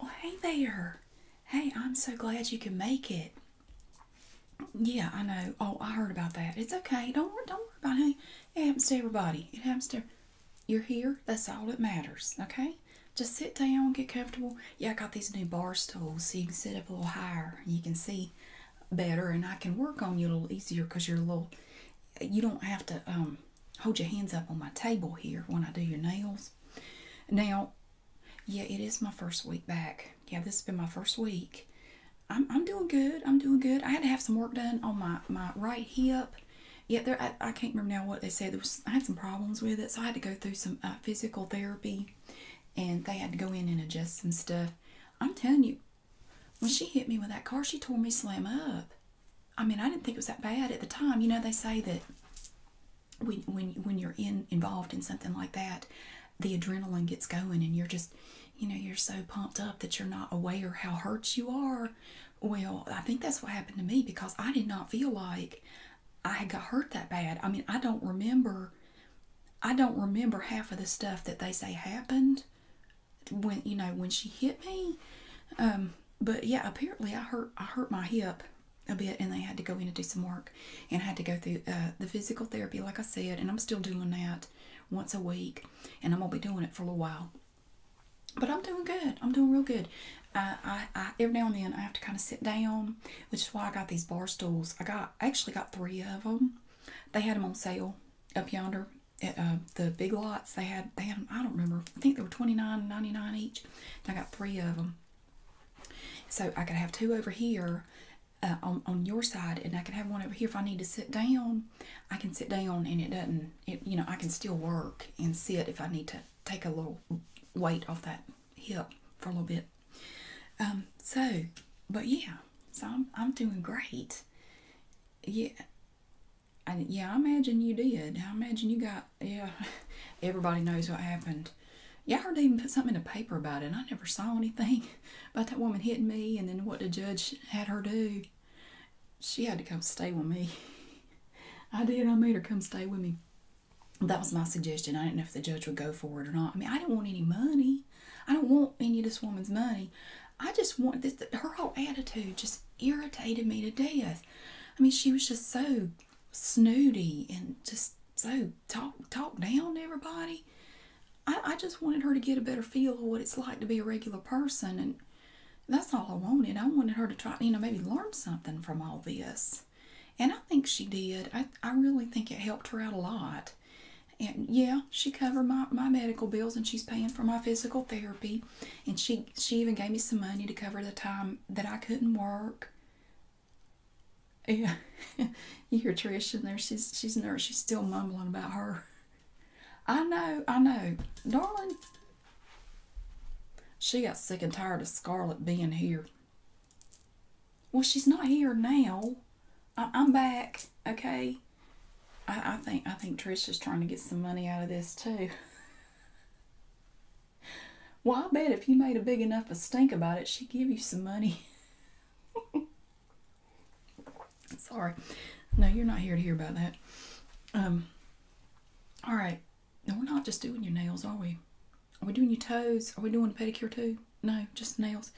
Well, hey there. Hey, I'm so glad you can make it. Yeah, I know. Oh, I heard about that. It's okay. Don't worry, don't worry about it. It happens to everybody. It happens to you're here. That's all that matters. Okay? Just sit down, get comfortable. Yeah, I got these new bar stools so you can sit up a little higher you can see better and I can work on you a little easier because you're a little you don't have to um hold your hands up on my table here when I do your nails. Now, yeah, it is my first week back. Yeah, this has been my first week. I'm, I'm doing good. I'm doing good. I had to have some work done on my, my right hip. Yeah, there, I, I can't remember now what they said. There was, I had some problems with it, so I had to go through some uh, physical therapy, and they had to go in and adjust some stuff. I'm telling you, when she hit me with that car, she tore me slam up. I mean, I didn't think it was that bad at the time. You know, they say that when when you're in involved in something like that, the adrenaline gets going, and you're just, you know, you're so pumped up that you're not aware how hurt you are. Well, I think that's what happened to me because I did not feel like I got hurt that bad. I mean, I don't remember. I don't remember half of the stuff that they say happened when you know when she hit me. Um, but yeah, apparently I hurt I hurt my hip a bit, and they had to go in and do some work, and I had to go through uh, the physical therapy, like I said, and I'm still doing that once a week, and I'm gonna be doing it for a little while. But I'm doing good. I'm doing real good. I, I, every now and then I have to kind of sit down, which is why I got these bar stools. I got I actually got three of them. They had them on sale up yonder at uh, the big lots. They had they had them, I don't remember. I think they were twenty nine ninety nine each I got three of them. So I could have two over here uh, on, on your side and I can have one over here if I need to sit down I can sit down and it doesn't you know I can still work and sit if I need to take a little weight off that hip for a little bit um so but yeah so I'm, I'm doing great yeah yeah, I imagine you did. I imagine you got, yeah, everybody knows what happened. Y'all heard even put something in the paper about it, and I never saw anything about that woman hitting me and then what the judge had her do. She had to come stay with me. I did. I made her come stay with me. That was my suggestion. I didn't know if the judge would go for it or not. I mean, I didn't want any money. I don't want any of this woman's money. I just want this. Her whole attitude just irritated me to death. I mean, she was just so snooty and just so talk talk down to everybody. I, I just wanted her to get a better feel of what it's like to be a regular person, and that's all I wanted. I wanted her to try, you know, maybe learn something from all this. And I think she did. I, I really think it helped her out a lot. And yeah, she covered my, my medical bills and she's paying for my physical therapy and she she even gave me some money to cover the time that I couldn't work. Yeah. you hear Trish in there, she's she's nervous, she's still mumbling about her. I know, I know. Darling, she got sick and tired of Scarlet being here. Well, she's not here now. I, am back, okay? I think I think Trish is trying to get some money out of this too. Well, I bet if you made a big enough a stink about it, she'd give you some money. Sorry. No, you're not here to hear about that. Um, all right. No, we're not just doing your nails, are we? Are we doing your toes? Are we doing a pedicure too? No, just nails.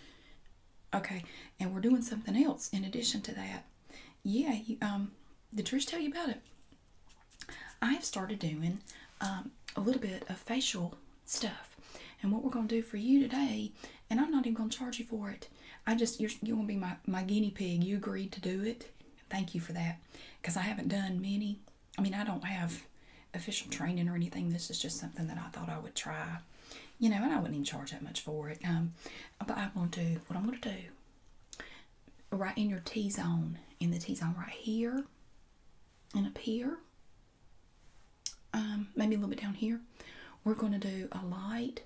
Okay. And we're doing something else in addition to that. Yeah, you, um, did Trish tell you about it? I've started doing um, a little bit of facial stuff, and what we're going to do for you today, and I'm not even going to charge you for it. I just you're going to be my my guinea pig. You agreed to do it. Thank you for that, because I haven't done many. I mean, I don't have official training or anything. This is just something that I thought I would try. You know, and I wouldn't even charge that much for it. Um, but I'm going to, do what I'm going to do right in your T-zone, in the T-zone right here and up here, um, maybe a little bit down here, we're going to do a light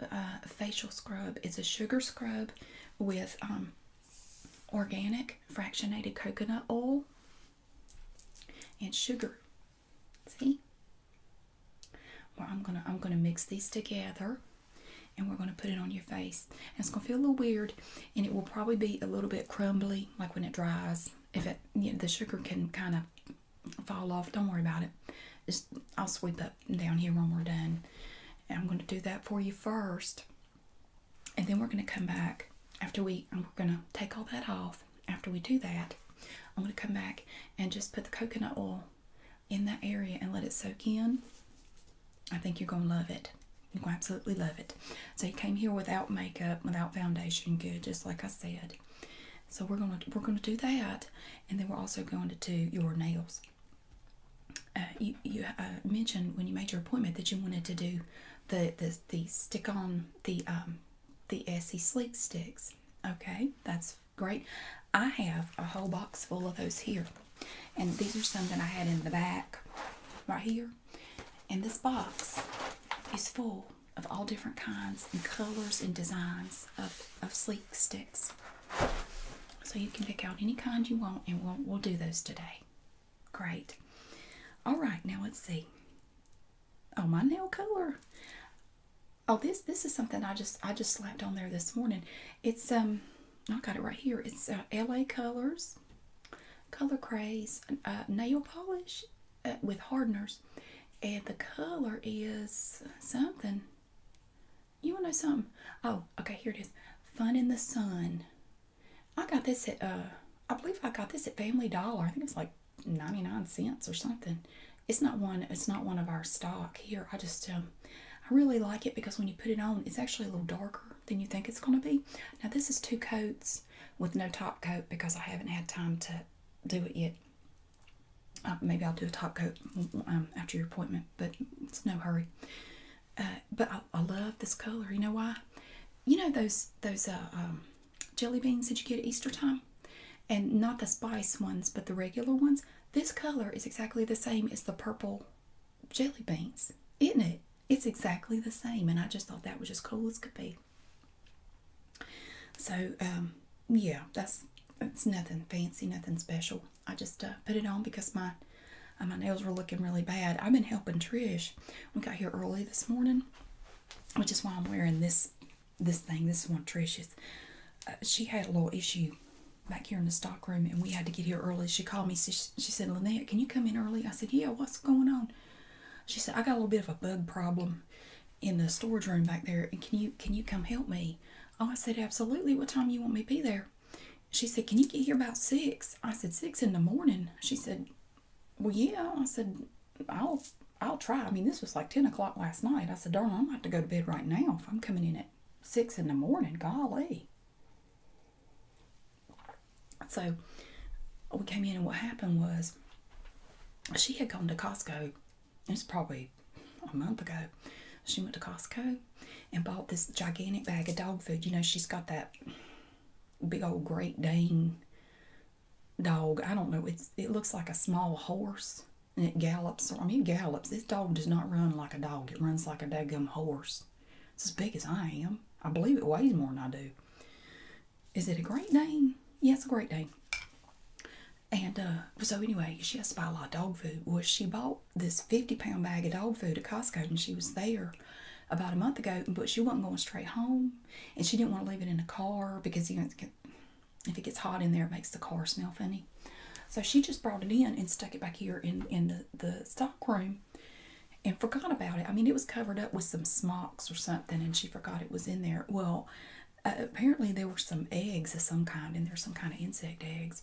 uh, facial scrub. It's a sugar scrub with um, organic fractionated coconut oil and sugar. See? Well, I'm gonna I'm gonna mix these together and we're going to put it on your face. it's going to feel a little weird, and it will probably be a little bit crumbly, like when it dries. If it, the sugar can kind of fall off, don't worry about it. Just, I'll sweep up down here when we're done. I'm going to do that for you first, and then we're going to come back after we, and we're going to take all that off. After we do that, I'm going to come back and just put the coconut oil in that area and let it soak in, I think you're going to love it. You're going to absolutely love it. So you came here without makeup, without foundation, good, just like I said. So we're going to we're going to do that, and then we're also going to do your nails. Uh, you you uh, mentioned when you made your appointment that you wanted to do the the, the stick on the um the Essie Sleek sticks. Okay, that's great. I have a whole box full of those here. And these are some that I had in the back right here. And this box is full of all different kinds and colors and designs of, of sleek sticks. So you can pick out any kind you want and we'll, we'll do those today. Great. All right, now let's see. Oh, my nail color. Oh, this this is something I just I just slapped on there this morning. It's um I got it right here. It's uh, LA Colors, Color Craze uh, nail polish uh, with hardeners, and the color is something. You want to know something? Oh, okay. Here it is. Fun in the Sun. I got this at I believe I got this at Family Dollar. I think it's like ninety nine cents or something. It's not one. It's not one of our stock here. I just um, I really like it because when you put it on, it's actually a little darker than you think it's going to be. Now, this is two coats with no top coat because I haven't had time to do it yet. Uh, maybe I'll do a top coat um, after your appointment, but it's no hurry. Uh, but I, love this color. You know why? You know those those uh, um, jelly beans that you get at Easter time, and not the spice ones, but the regular ones. This color is exactly the same as the purple jelly beans, isn't it? It's exactly the same, and I just thought that was as cool as could be. So, um, yeah, that's it's nothing fancy, nothing special. I just uh, put it on because my uh, my nails were looking really bad. I've been helping Trish. We got here early this morning, which is why I'm wearing this this thing. This one, Trish's. Uh, she had a little issue back here in the stockroom, and we had to get here early. She called me. She, said, Lynette, can you come in early? I said, yeah, what's going on? She said, I got a little bit of a bug problem in the storage room back there and can you can you come help me? Oh, I said, absolutely. What time you want me to be there? She said, can you get here about six? I said, six in the morning. She said, well, yeah. I said, I'll I'll try. I mean, this was like 10 o'clock last night. I said, darn, I'm about to go to bed right now if I'm coming in at 6 in the morning. Golly. So we came in, and what happened was she had gone to Costco. It's probably a month ago. She went to Costco and bought this gigantic bag of dog food. You know, she's got that big old Great Dane dog. I don't know. It's, it looks like a small horse and it gallops. I mean, gallops this dog does not run like a dog. It runs like a daggum horse. It's as big as I am. I believe it weighs more than I do. Is it a Great Dane? Yes, it's a Great Dane. And uh, so anyway, she has to buy a lot of dog food. Well, she bought this 50-pound bag of dog food at Costco, and she was there about a month ago, but she wasn't going straight home, and she didn't want to leave it in the car because if it gets hot in there, it makes the car smell funny. So she just brought it in and stuck it back here in, in the the stockroom and forgot about it. I mean, it was covered up with some smocks or something, and she forgot it was in there. Well, apparently there were some eggs of some kind, and there's some kind of insect eggs,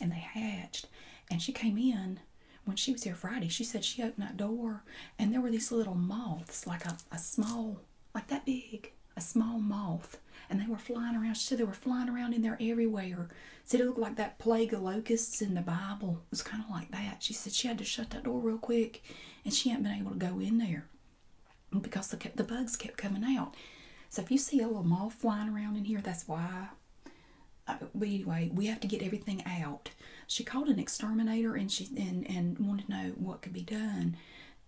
and they hatched. And she came in when she was here Friday. She said she opened that door, and there were these little moths, like a small, like that big, a small moth and they were flying around. She said they were flying around in there everywhere. Said it looked like that plague of locusts in the Bible. It was kind of like that. She said she had to shut that door real quick, and she ain't been able to go in there because the the bugs kept coming out. So if you see a little moth flying around in here, that's why. Uh, but anyway, we have to get everything out. She called an exterminator and she and and wanted to know what could be done.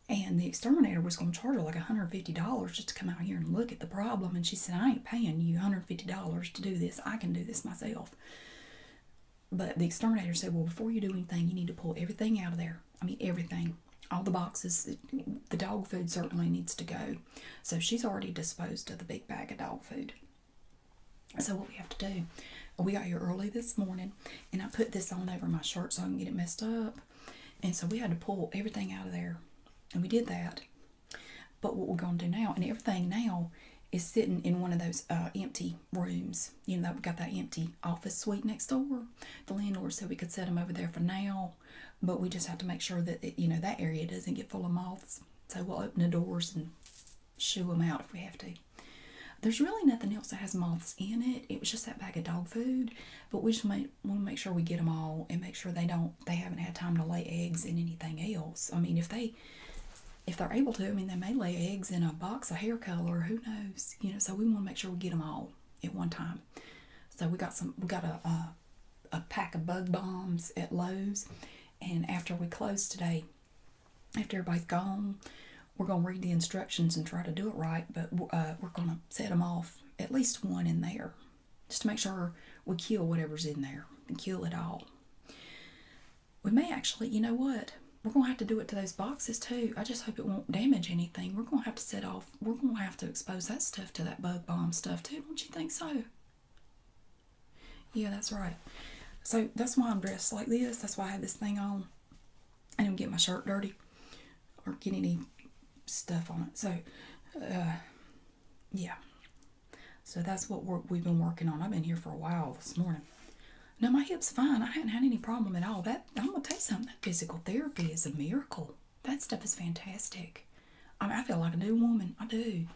And the exterminator was going to charge her like $150 just to come out here and look at the problem and she said i ain't paying you $150 to do this i can do this myself but the exterminator said well before you do anything you need to pull everything out of there i mean everything all the boxes the dog food certainly needs to go so she's already disposed of the big bag of dog food so what we have to do we got here early this morning and i put this on over my shirt so i can get it messed up and so we had to pull everything out of there and we did that but what we're going to do now, and everything now is sitting in one of those uh, empty rooms. You know, we've got that empty office suite next door. The landlord said we could set them over there for now, but we just have to make sure that, you know, that area doesn't get full of moths. So we'll open the doors and shoo them out if we have to. There's really nothing else that has moths in it. It was just that bag of dog food, but we just made, we want to make sure we get them all and make sure they don't they haven't had time to lay eggs and anything else. I mean, if they if they're able to, I mean, they may lay eggs in a box of hair color. Who knows? You know. So we want to make sure we get them all at one time. So we got some. We got a a, pack of bug bombs at Lowe's, and after we close today, after everybody's gone, we're gonna read the instructions and try to do it right. But uh, we're gonna set them off at least one in there just to make sure we kill whatever's in there and kill it all. We may actually, you know what? We're going to have to do it to those boxes too. I just hope it won't damage anything. We're going to have to set off, we're going to have to expose that stuff to that bug bomb stuff too. Don't you think so? Yeah, that's right. So that's why I'm dressed like this. That's why I have this thing on. I do not get my shirt dirty or get any stuff on it. So, uh, yeah. So that's what we've been working on. I've been here for a while this morning. No, my hip's fine. I haven't had any problem at all. That I'm gonna tell you something. That physical therapy is a miracle. That stuff is fantastic. I mean, I feel like a new woman. I do.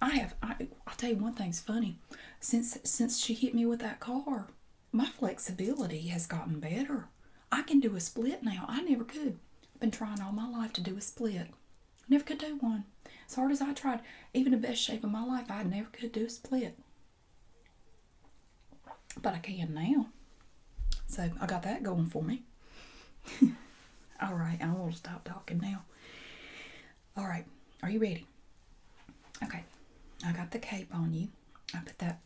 I have. I, tell you one thing's funny. Since since she hit me with that car, my flexibility has gotten better. I can do a split now. I never could been trying all my life to do a split. Never could do one. As hard as I tried, even the best shape of my life, I never could do a split. But I can now. So I got that going for me. all right, I will stop talking now. All right, are you ready? Okay, I got the cape on you. I put that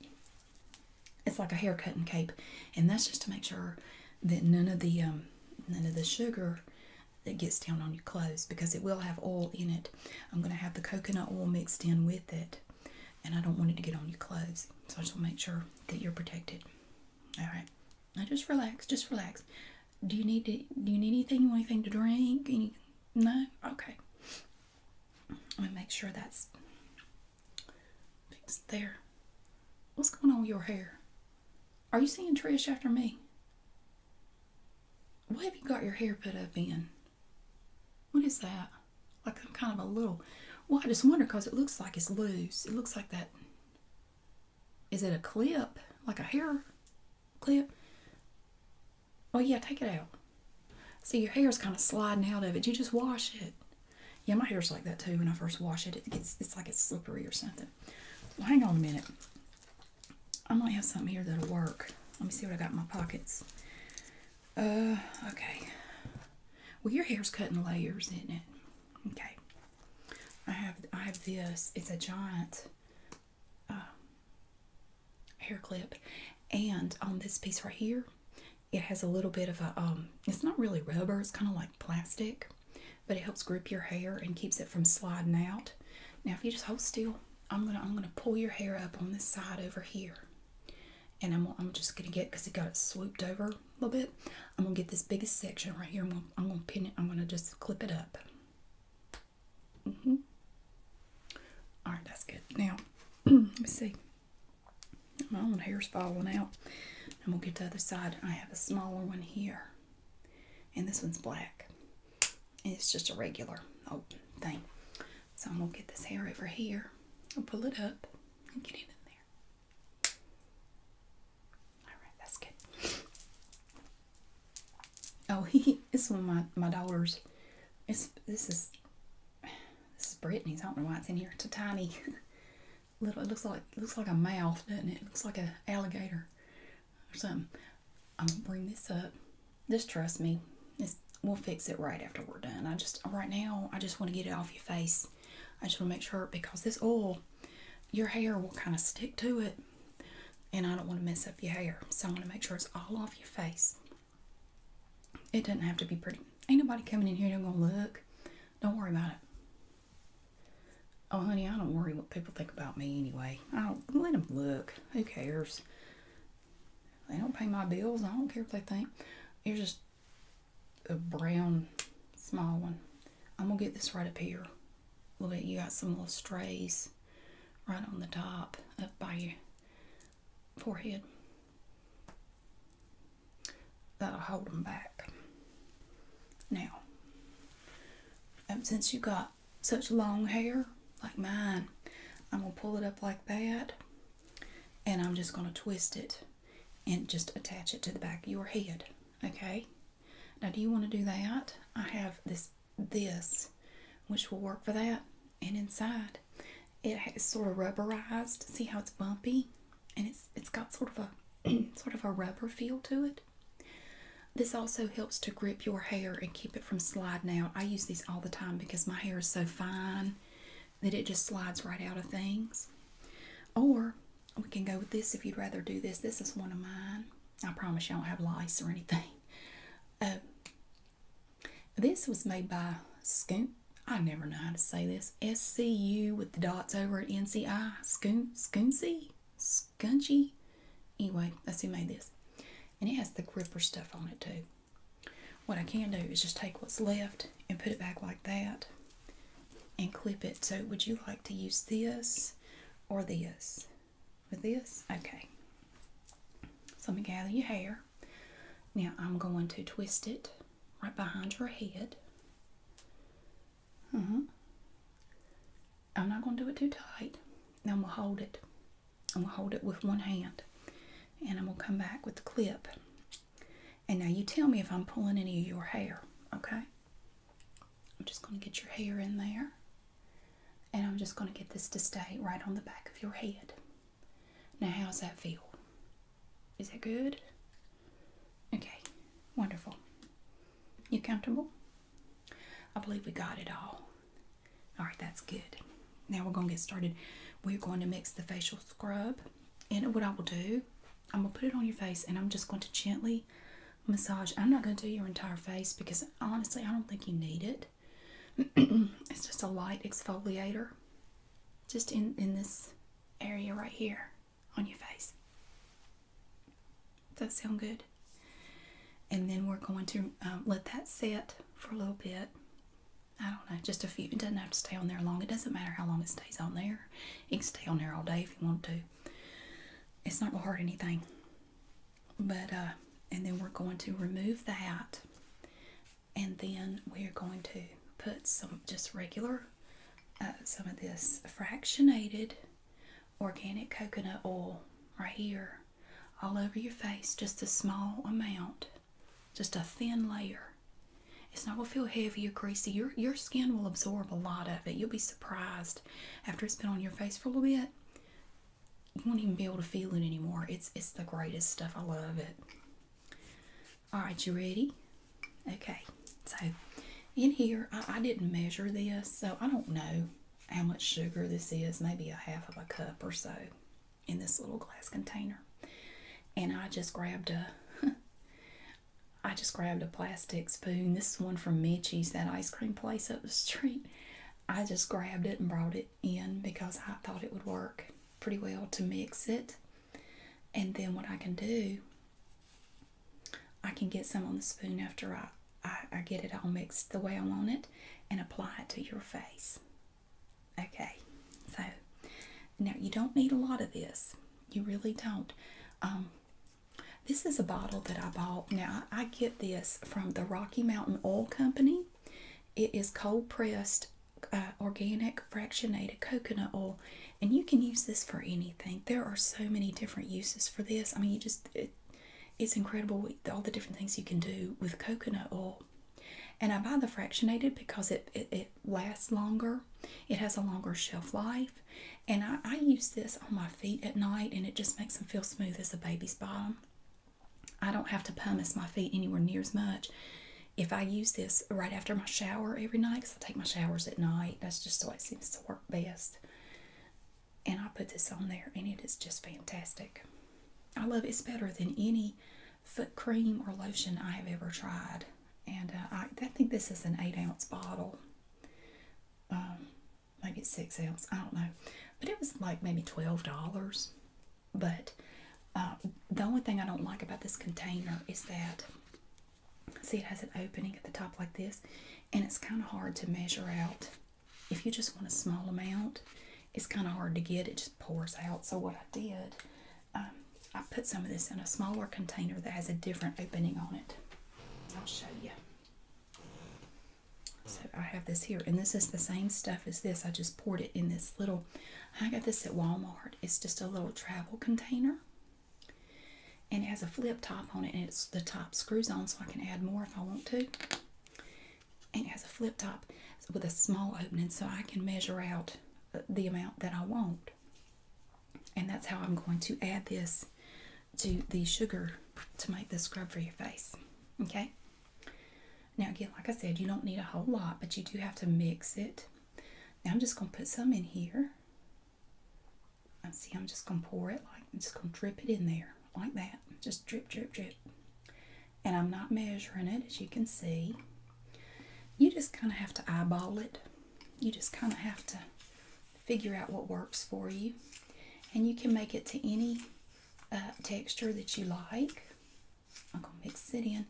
it's like a haircutting cape, and that's just to make sure that none of the um, none of the sugar that gets down on your clothes because it will have oil in it. I'm going to have the coconut oil mixed in with it, and I don't want it to get on your clothes. So I just want to make sure that you're protected. All right, now just relax, just relax. Do you need to, do you need anything? You want anything to drink? Any? No. Okay. Let me make sure that's Fix there. What's going on with your hair? Are you seeing Trish after me? What have you got your hair put up in? What is that? Like I'm kind of a little. Well, I just wonder because it looks like it's loose. It looks like that. Is it a clip? Like a hair clip? Oh yeah, take it out. See, your hair's kind of sliding out of it. You just wash it. Yeah, my hair's like that too when I first wash it. It gets it's like it's slippery or something. Well, hang on a minute. I might have something here that'll work. Let me see what I got in my pockets. Uh, okay. Well, your hair's cut in layers, isn't it? Okay. I have I have this. It's a giant uh, hair clip, and on this piece right here, it has a little bit of a, um, it's not really rubber, it's kind of like plastic, but it helps grip your hair and keeps it from sliding out. Now, if you just hold still, I'm gonna I'm gonna pull your hair up on this side over here, and I'm I'm just gonna get because it got it swooped over a little bit. I'm gonna get this biggest section right here. I'm gonna, I'm gonna pin it. I'm gonna just clip it up. -hmm. All right, that's good. Now, let me see. My own hair's falling out. and we'll get to the other side. I have a smaller one here. And this one's black. it's just a regular oh thing. So I'm gonna get this hair over here I'll pull it up and get it in there. Alright, that's good. Oh he this one my, my daughter's it's this is this is Brittany's. I don't know why it's in here. It's a tiny little it looks like looks like a mouth, doesn't it? looks like an alligator or something. I'm gonna bring this up. Just trust me. It's, we'll fix it right after we're done. I just right now I just want to get it off your face. I just want to make sure because this oil, your hair will kind of stick to it, and I don't want to mess up your hair. So I want to make sure it's all off your face. It doesn't have to be pretty. Ain't nobody coming in here. they gonna look. Don't worry about it. Oh, honey, I don't worry what people think about me anyway. I don't let them look. Who cares? they don't pay my bills. I don't care what they think. You're just a brown, small one. I'm going to get this right up here. Look at you got some little strays right on the top up by your forehead that'll hold them back. Now, since you have got such long hair like mine, I'm gonna pull it up like that and I'm just gonna twist it and just attach it to the back of your head, okay? Now, do you wanna do that? I have this, this, which will work for that. And inside, it is sort of rubberized. See how it's bumpy? and it's it's got sort of a sort of a rubber feel to it. This also helps to grip your hair and keep it from sliding out. I use these all the time because my hair is so fine that it just slides right out of things. Or we can go with this if you'd rather do this. This is one of mine. I promise you I don't have lice or anything. Uh, this was made by Scoop I never know how to say this. SCU with the dots over at NCI. Scoon, scooncy? Scunchy? Anyway, that's who made this. And it has the gripper stuff on it too. What I can do is just take what's left and put it back like that and clip it. So would you like to use this or this? With this? Okay. So let me gather your hair. Now I'm going to twist it right behind your head. hmm I'm not going to do it too tight. Now I'm going to hold it. I'm going to hold it with one hand. And I'm going to come back with the clip. And now you tell me if I'm pulling any of your hair, okay? I'm just going to get your hair in there. And I'm just going to get this to stay right on the back of your head. Now how's that feel? Is that good? Okay, wonderful. You comfortable? I believe we got it all. All right, that's good. Now we're going to get started. We're going to mix the facial scrub. And what I will do, I'm going to put it on your face and I'm just going to gently massage. I'm not going to do your entire face because honestly, I don't think you need it. it's just a light exfoliator just in, in this area right here on your face. Does that sound good? And then we're going to um, let that set for a little bit. I don't know, just a few. It doesn't have to stay on there long. It doesn't matter how long it stays on there. You can stay on there all day if you want to. It's not going to hurt anything. But, uh, and then we're going to remove that. And then we're going to put some just regular uh, some of this fractionated organic coconut oil right here all over your face, just a small amount, just a thin layer. It's not going to feel heavy or greasy. Your, your skin will absorb a lot of it. You'll be surprised after it's been on your face for a little bit. You won't even be able to feel it anymore. It's, it's the greatest stuff. I love it. All right, you ready? Okay, so in here, I, didn't measure this, so I don't know how much sugar this is, maybe a half of a cup or so in this little glass container. And I just grabbed a I just grabbed a plastic spoon. This is one from Mitchie's, that ice cream place up the street. I just grabbed it and brought it in because I thought it would work pretty well to mix it. And then what I can do, I can get some on the spoon after I, I, get it all mixed the way I want it and apply it to your face. Okay, so now you don't need a lot of this. You really don't. Um, this is a bottle that I bought. Now I get this from the Rocky Mountain Oil Company. It is cold pressed uh, organic fractionated coconut oil, and you can use this for anything. There are so many different uses for this. I mean, you just it's incredible all the different things you can do with coconut oil. And I buy the fractionated because it, it, lasts longer, it has a longer shelf life. And I, I use this on my feet at night, and it just makes them feel smooth as a baby's bottom. I don't have to pumice my feet anywhere near as much if I use this right after my shower every night, because I take my showers at night, that's just the way it seems to work best. And I put this on there, and it is just fantastic. I love it. It's better than any foot cream or lotion I have ever tried. And uh, I, I think this is an 8 ounce bottle. Um, maybe it's 6 ounce, I don't know. But it was like maybe $12. But uh, the only thing I don't like about this container is that See, it has an opening at the top like this, and it's kind of hard to measure out. If you just want a small amount, it's kind of hard to get. It just pours out. So what I did, um, I put some of this in a smaller container that has a different opening on it. I'll show you. So I have this here, and this is the same stuff as this. I just poured it in this little. I got this at Walmart. It's just a little travel container, and it has a flip top on it and it's the top screws on so I can add more if I want to and it has a flip top with a small opening so I can measure out uh, the amount that I want and that's how I'm going to add this to the sugar to make the scrub for your face okay now again like I said you don't need a whole lot but you do have to mix it now I'm just going to put some in here. And see, I'm just going to pour it like, I'm just going to drip it in there like that. Just drip, drip, drip. And I'm not measuring it, as you can see. You just kind of have to eyeball it. You just kind of have to figure out what works for you. And you can make it to any uh, texture that you like. I'm going to mix it in.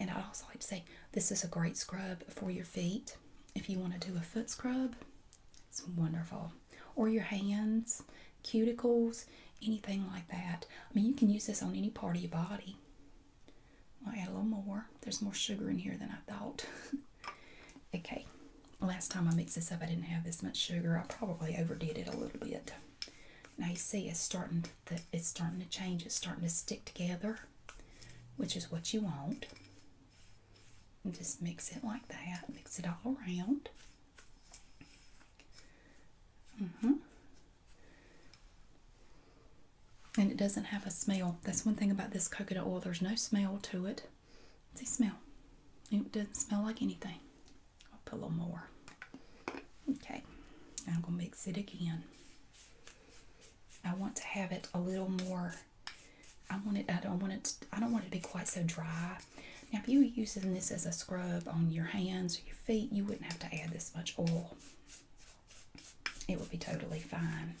And I'd also like to say this is a great scrub for your feet. If you want to do a foot scrub, it's wonderful. Or your hands, cuticles, anything like that. I mean, you can use this on any part of your body. i add a little more. There's more sugar in here than I thought. okay, last time I mixed this up, I didn't have this much sugar. I probably overdid it a little bit. Now you see, it's starting. it's starting to change. It's starting to stick together which is what you want. just mix it like that, mix it all around. hmm And it doesn't have a smell. That's one thing about this coconut oil. There's no smell to it. See, smell. It doesn't smell like anything. I'll put a little more. Okay. I'm going to mix it again. I want to have it a little more. I want it. I don't want it. I don't want it to be quite so dry. Now, if you were using this as a scrub on your hands or your feet, you wouldn't have to add this much oil. It would be totally fine.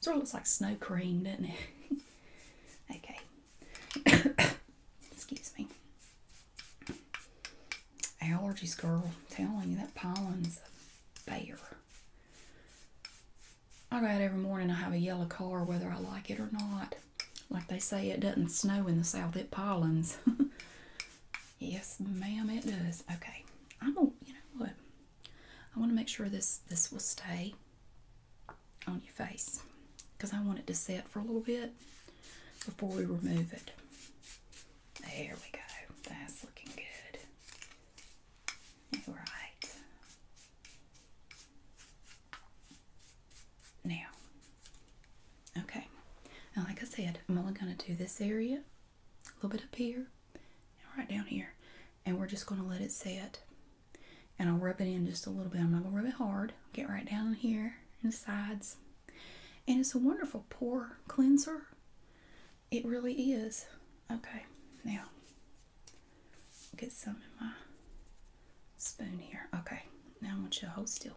Sort of looks like snow cream, doesn't it? okay. Excuse me. Allergies, girl. I'm telling you, that pollen's a I got out every morning, I have a yellow car, whether I like it or not. Like they say, it doesn't snow in the south, it pollens. yes, ma'am, it does. Okay, I'm gonna, you know what? I want to make sure this, this will stay on your face because I want it to set for a little bit before we remove it. There we go. That's looking good. All right. Now, okay. Now, like I said, I'm only going to do this area, a little bit up here, and right down here. And we're just going to let it set. And I'll rub it in just a little bit. I'm not going to rub it hard. Get right down here in the sides. And it's a wonderful pore cleanser. It really is. Okay, now get some in my spoon here. Okay, now I want you to hold still.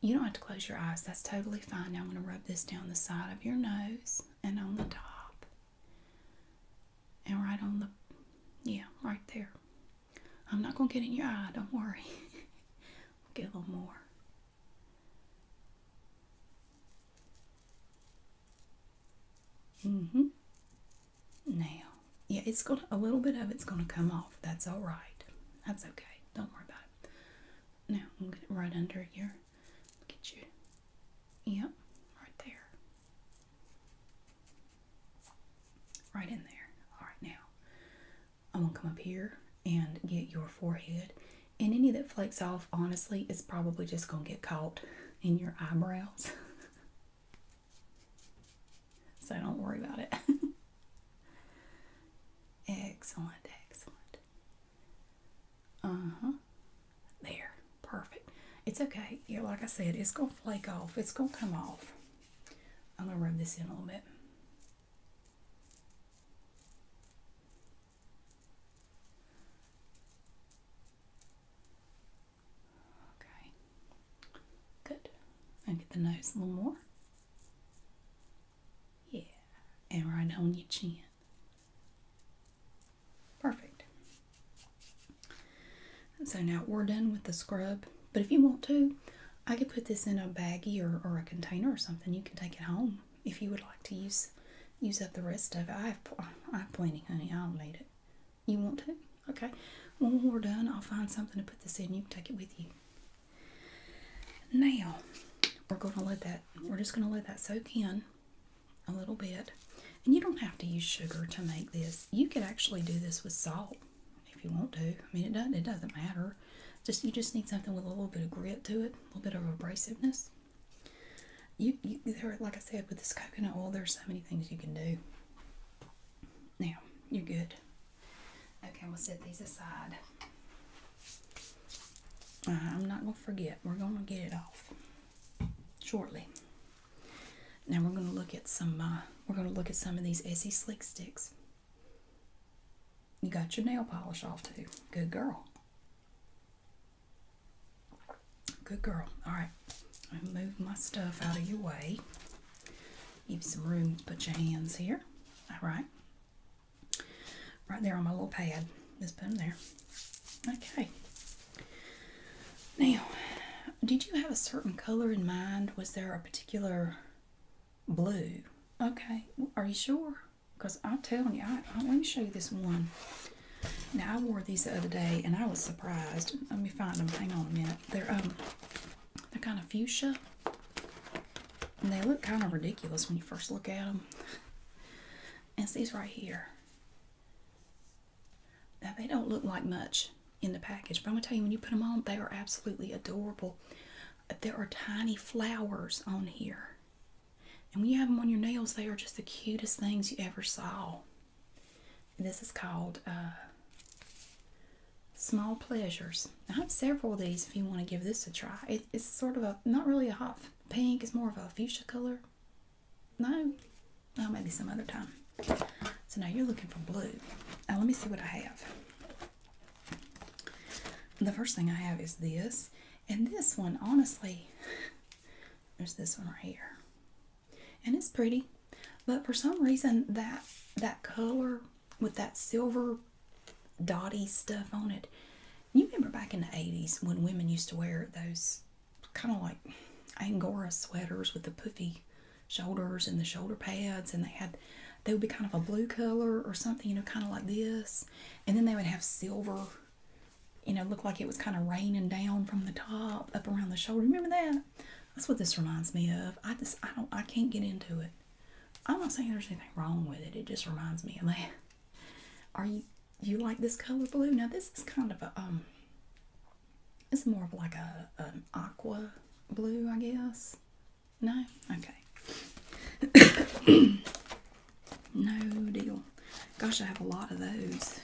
You don't have to close your eyes. That's totally fine. Now I'm going to rub this down the side of your nose and on the top. And right on the, yeah, right there. I'm not going to get in your eye. Don't worry. get a little more. Mm-hmm. Now, yeah, it's gonna a little bit of it's gonna come off. That's all right. That's okay. Don't worry about it. Now I'm gonna get it right under here. Get you. Yep, right there. Right in there. All right now. I'm gonna come up here and get your forehead and any that flakes off honestly is probably just going to get caught in your eyebrows so don't worry about it excellent excellent uh-huh there perfect it's okay yeah like i said it's going to flake off it's going to come off i'm going to rub this in a little bit Okay, good. And get the nose a little more. Yeah, and right on your chin. Perfect. So now we're done with the scrub, but if you want to, I could put this in a baggie or, or a container or something. You can take it home if you would like to use use up the rest of it. I have, I have plenty, honey. I will not need it. You want to? Okay. when we're done, I'll find something to put this in. You can take it with you. Now, we're going to let that, we're just going to let that soak in a little bit. And you don't have to use sugar to make this. You could actually do this with salt if you want to. I mean, it doesn't, it doesn't matter just you just need something with a little bit of grit to it, a little bit of abrasiveness. You, there, like I said, with this coconut oil, there's so many things you can do. Now you're good. Okay, we'll set these aside. Uh, I'm not gonna forget. We're gonna get it off shortly. Now we're gonna look at some. Uh, we're gonna look at some of these Essie Slick sticks. You got your nail polish off too. Good girl. Good girl. All right. move my stuff out of your way. Give you some room to put your hands here. All right. Right there on my little pad. Just put them there. Okay. Now, did you have a certain color in mind? Was there a particular blue? Okay. Are you sure? Because I'm telling you, I, let me show you this one. Now, I wore these the other day, and I was surprised. Let me find them. Hang on a minute. They're, um, they're kind of fuchsia. And they look kind of ridiculous when you first look at them. And it's these right here. Now, they don't look like much in the package, but I'm going to tell you, when you put them on, they are absolutely adorable. There are tiny flowers on here. And when you have them on your nails, they are just the cutest things you ever saw. this is called uh, Small Pleasures. I have several of these if you want to give this a try. it's sort of a, not really a hot pink, it's more of a fuchsia color. No? Oh, maybe some other time. So now you're looking for blue. Now let me see what I have. The first thing I have is this. And this one, honestly, there's this one right here. And it's pretty. But for some reason, that that color with that silver dotty stuff on it. You remember back in the 80s when women used to wear those kind of like Angora sweaters with the puffy shoulders and the shoulder pads, and they had, they would be kind of a blue color or something, you know, kind of like this and then they would have silver, you know, look like it was kind of raining down from the top up around the shoulder. Remember that? That's what this reminds me of. I just I don't I can't get into it. I'm not saying there's anything wrong with it. It just reminds me of that. Are you you like this color blue? Now this is kind of a um it's more of like a an aqua blue, I guess. No? Okay. no deal. Gosh, I have a lot of those.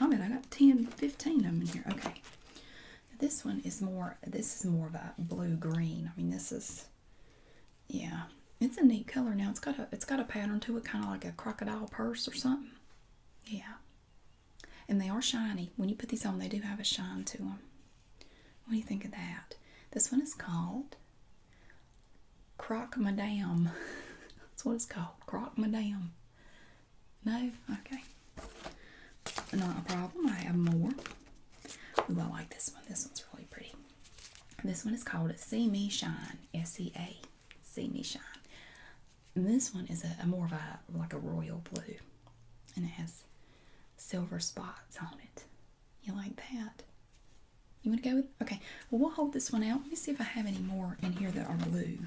I oh, mean, I got 10, 15 of them in here. Okay. This one is more, this is more of a blue-green. I mean, this is, yeah. It's a neat color now. It's got a, it's got a pattern to it, kind of like a crocodile purse or something. Yeah. And they are shiny. When you put these on, they do have a shine to them. What do you think of that? This one is called Croc Madame. That's what it's called. Croc Madame. No? Okay. Not a problem. I have more. Ooh, I like this one. This one's really pretty. This one is called See Me Shine. S-E-A. See Me Shine. this one is a more of a like a royal blue. And it has silver spots on it. You like that? You want to go with? Okay. Well, we'll hold this one out. Let me see if I have any more in here that are blue.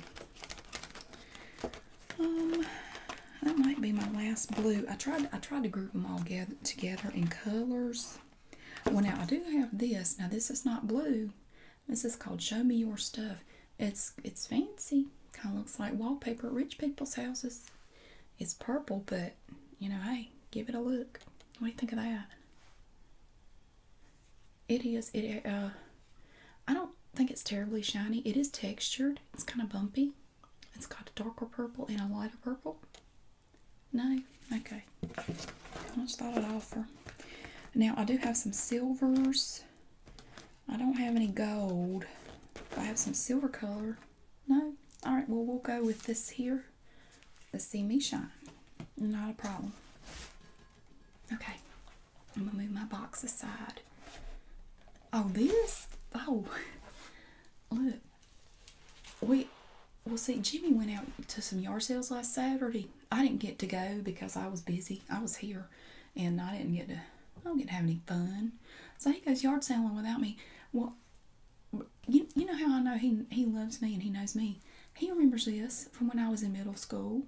Um, that might be my last blue. I tried. I tried to group them all together in colors. Well, now I do have this. Now this is not blue. This is called "Show Me Your Stuff." It's it's fancy. Kind of looks like wallpaper rich people's houses. It's purple, but you know, hey, give it a look. What do you think of that? It is. It. Uh, I don't think it's terribly shiny. It is textured. It's kind of bumpy. It's got a darker purple and a lighter purple. No? Okay. I just thought I'd offer. Now, I do have some silvers. I don't have any gold. I have some silver color. No? Alright, well, we'll go with this here. Let's see me shine. Not a problem. Okay, I'm gonna move my box aside. Oh, this? Oh, look. We, we'll see, Jimmy went out to some yard sales last Saturday. I didn't get to go because I was busy. I was here, and I didn't get to. I don't get to have any fun. So he goes yard selling without me. What? you, you know how I know he, he loves me and he knows me? He remembers this from when I was in middle school.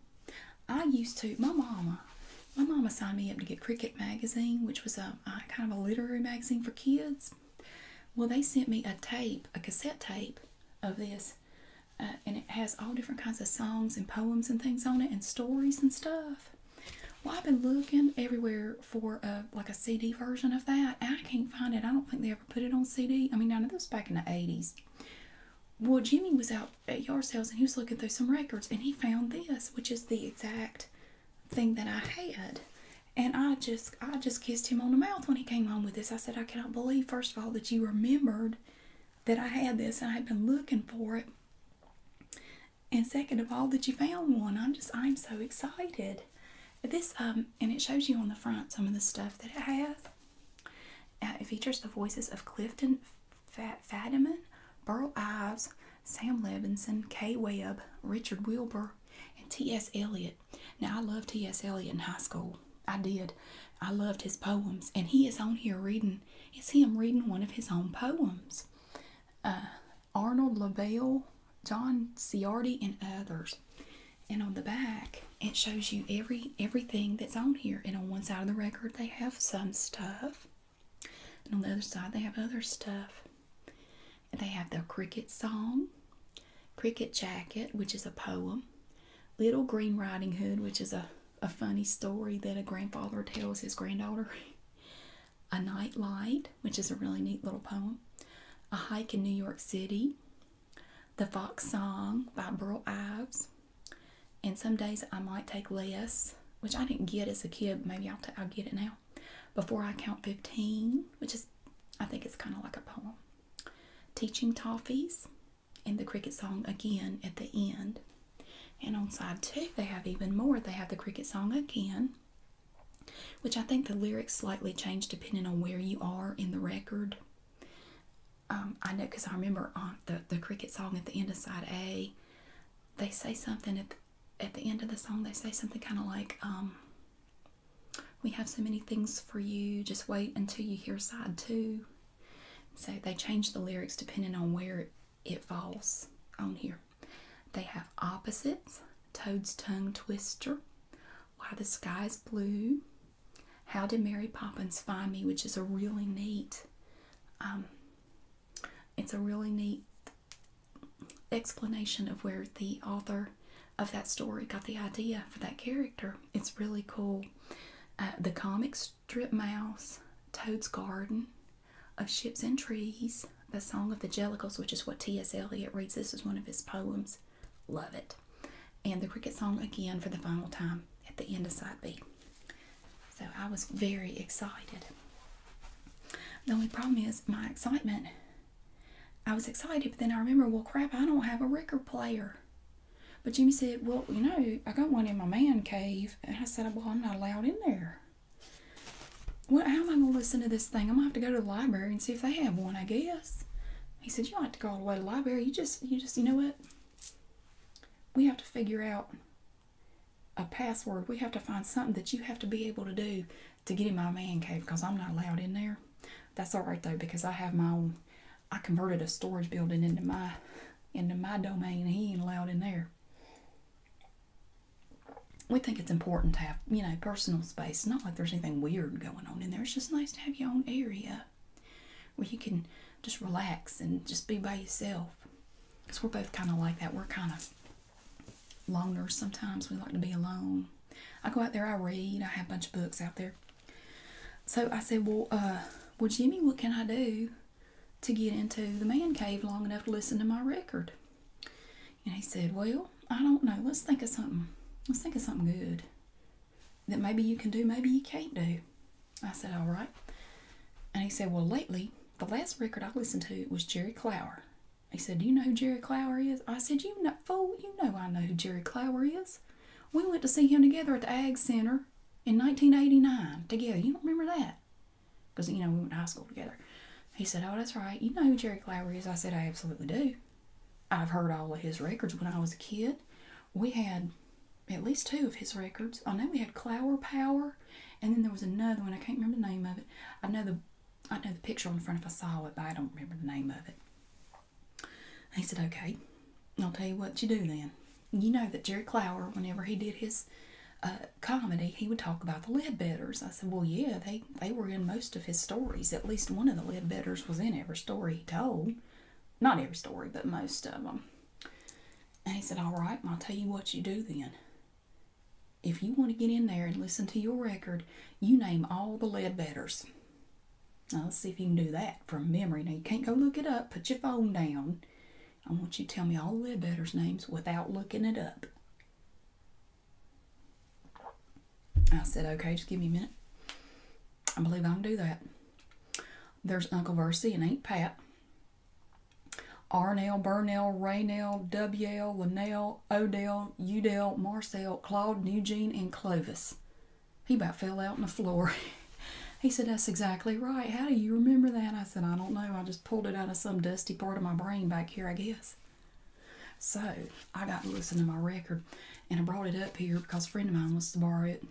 I used to, my mama, my mama signed me up to get Cricket Magazine, which was a, kind of a literary magazine for kids. Well, they sent me a tape, a cassette tape of this, uh, and it has all different kinds of songs and poems and things on it and stories and stuff. Well, I've been looking everywhere for a like a CD version of that. I can't find it. I don't think they ever put it on CD. I mean, I know that was back in the 80s. Well, Jimmy was out at yard house and he was looking through some records and he found this, which is the exact thing that I had. And I just I just kissed him on the mouth when he came home with this. I said, I cannot believe, first of all, that you remembered that I had this and I had been looking for it. And second of all, that you found one. I'm just I'm so excited. This um and it shows you on the front some of the stuff that it has. Uh, it features the voices of Clifton Fat Fadiman, Burl Ives, Sam Levinson, Kay Webb, Richard Wilbur, and T.S. Eliot. Now I loved T.S. Eliot in high school. I did. I loved his poems, and he is on here reading. It's him reading one of his own poems. Uh, Arnold LaBelle, John Ciardi, and others. And on the back, it shows you every everything that's on here. And on one side of the record, they have some stuff. And on the other side, they have other stuff. And they have the cricket song, cricket jacket, which is a poem, Little Green Riding Hood, which is a, a funny story that a grandfather tells his granddaughter, A Night Light, which is a really neat little poem, a Hike in New York City, The Fox Song by Burl Ives, and some days I might take less, which I didn't get as a kid. Maybe I'll get it now. Before I Count 15, which is, I think it's kind of like a poem. Teaching Toffees, and the cricket song again at the end. And on side two, they have even more. They have the cricket song again which I think the lyrics slightly change depending on where you are in the record. Um, I know because I remember on the, the cricket song at the end of side A, they say something at the, at the end of the song, they say something kind of like, um, we have so many things for you, just wait until you hear side two. So they change the lyrics depending on where it falls on here. They have opposites, Toad's Tongue Twister, why the sky is Blue, How Did Mary Poppins Find Me, which is a really neat, um, it's a really neat explanation of where the author of that story got the idea for that character. It's really cool. Uh, the comic strip Mouse, Toad's Garden, Of Ships and Trees, the Song of the Jellicles, which is what T.S. Eliot reads. This is one of his poems. Love it. And the cricket song again for the final time at the end of side B. So I was very excited. The only problem is my excitement. I was excited, but then I remember, well, crap, I don't have a record player. But Jimmy said, well, you know, I got one in my man cave. And I said, well, I'm not allowed in there. What, how am I going to listen to this thing? I'm going to have to go to the library and see if they have one, I guess. He said, you don't have to go all the way to the library. You just, you just, you know what? We have to figure out a password. We have to find something that you have to be able to do to get in my man cave because I'm not allowed in there. That's all right though because I have my own. I converted a storage building into my into my domain. He ain't allowed in there we think it's important to have, you know, personal space. Not like there's anything weird going on in there. It's just nice to have your own area where you can just relax and just be by yourself. Because we're both kind of like that. We're kind of loners sometimes. We like to be alone. I go out there, I read, I have a bunch of books out there. So I said, Well, uh, well, Jimmy, what can I do to get into the man cave long enough to listen to my record? And he said, Well, I don't know. Let's think of something. Let's think of something good that maybe you can do, maybe you can't do. I said, All right. And he said, Well, lately, the last record I listened to was Jerry Clower. He said, Do you know who Jerry Clower is? I said, You know, fool, you know I know who Jerry Clower is. We went to see him together at the Ag Center in 1989 together. You don't remember that? Because, you know, we went to high school together. He said, Oh, that's right. You know who Jerry Clower is? I said, I absolutely do. I've heard all of his records when I was a kid. We had at least two of his records. I know we had Clower Power, and then there was another one. I can't remember the name of it. I know the I know the picture on the front if I saw it, but I don't remember the name of it. He said, Okay, I'll tell you what you do then. You know that Jerry Clower, whenever he did his uh, comedy, he would talk about the Leadbetters. I said, Well, yeah, they they were in most of his stories. At least one of the lead betters was in every story he told. Not every story, but most of them. And he said, All right, I'll tell you what you do then. If you want to get in there and listen to your record, you name all the Leadbetters. Now, let's see if you can do that from memory. Now, you can't go look it up. Put your phone down. I want you to tell me all the lead betters' names without looking it up. I said, okay, just give me a minute. I believe I can do that. There's Uncle Versi and Aunt Pat. Arnell, Burnell, Raynell, WL, Linnell, Odell, Udell, Marcel, Claude, Eugene, and Clovis. He about fell out on the floor. he said, That's exactly right. How do you remember that? I said, I don't know. I just pulled it out of some dusty part of my brain back here, I guess. So I got to listen to my record, and I brought it up here because a friend of mine wants to borrow it.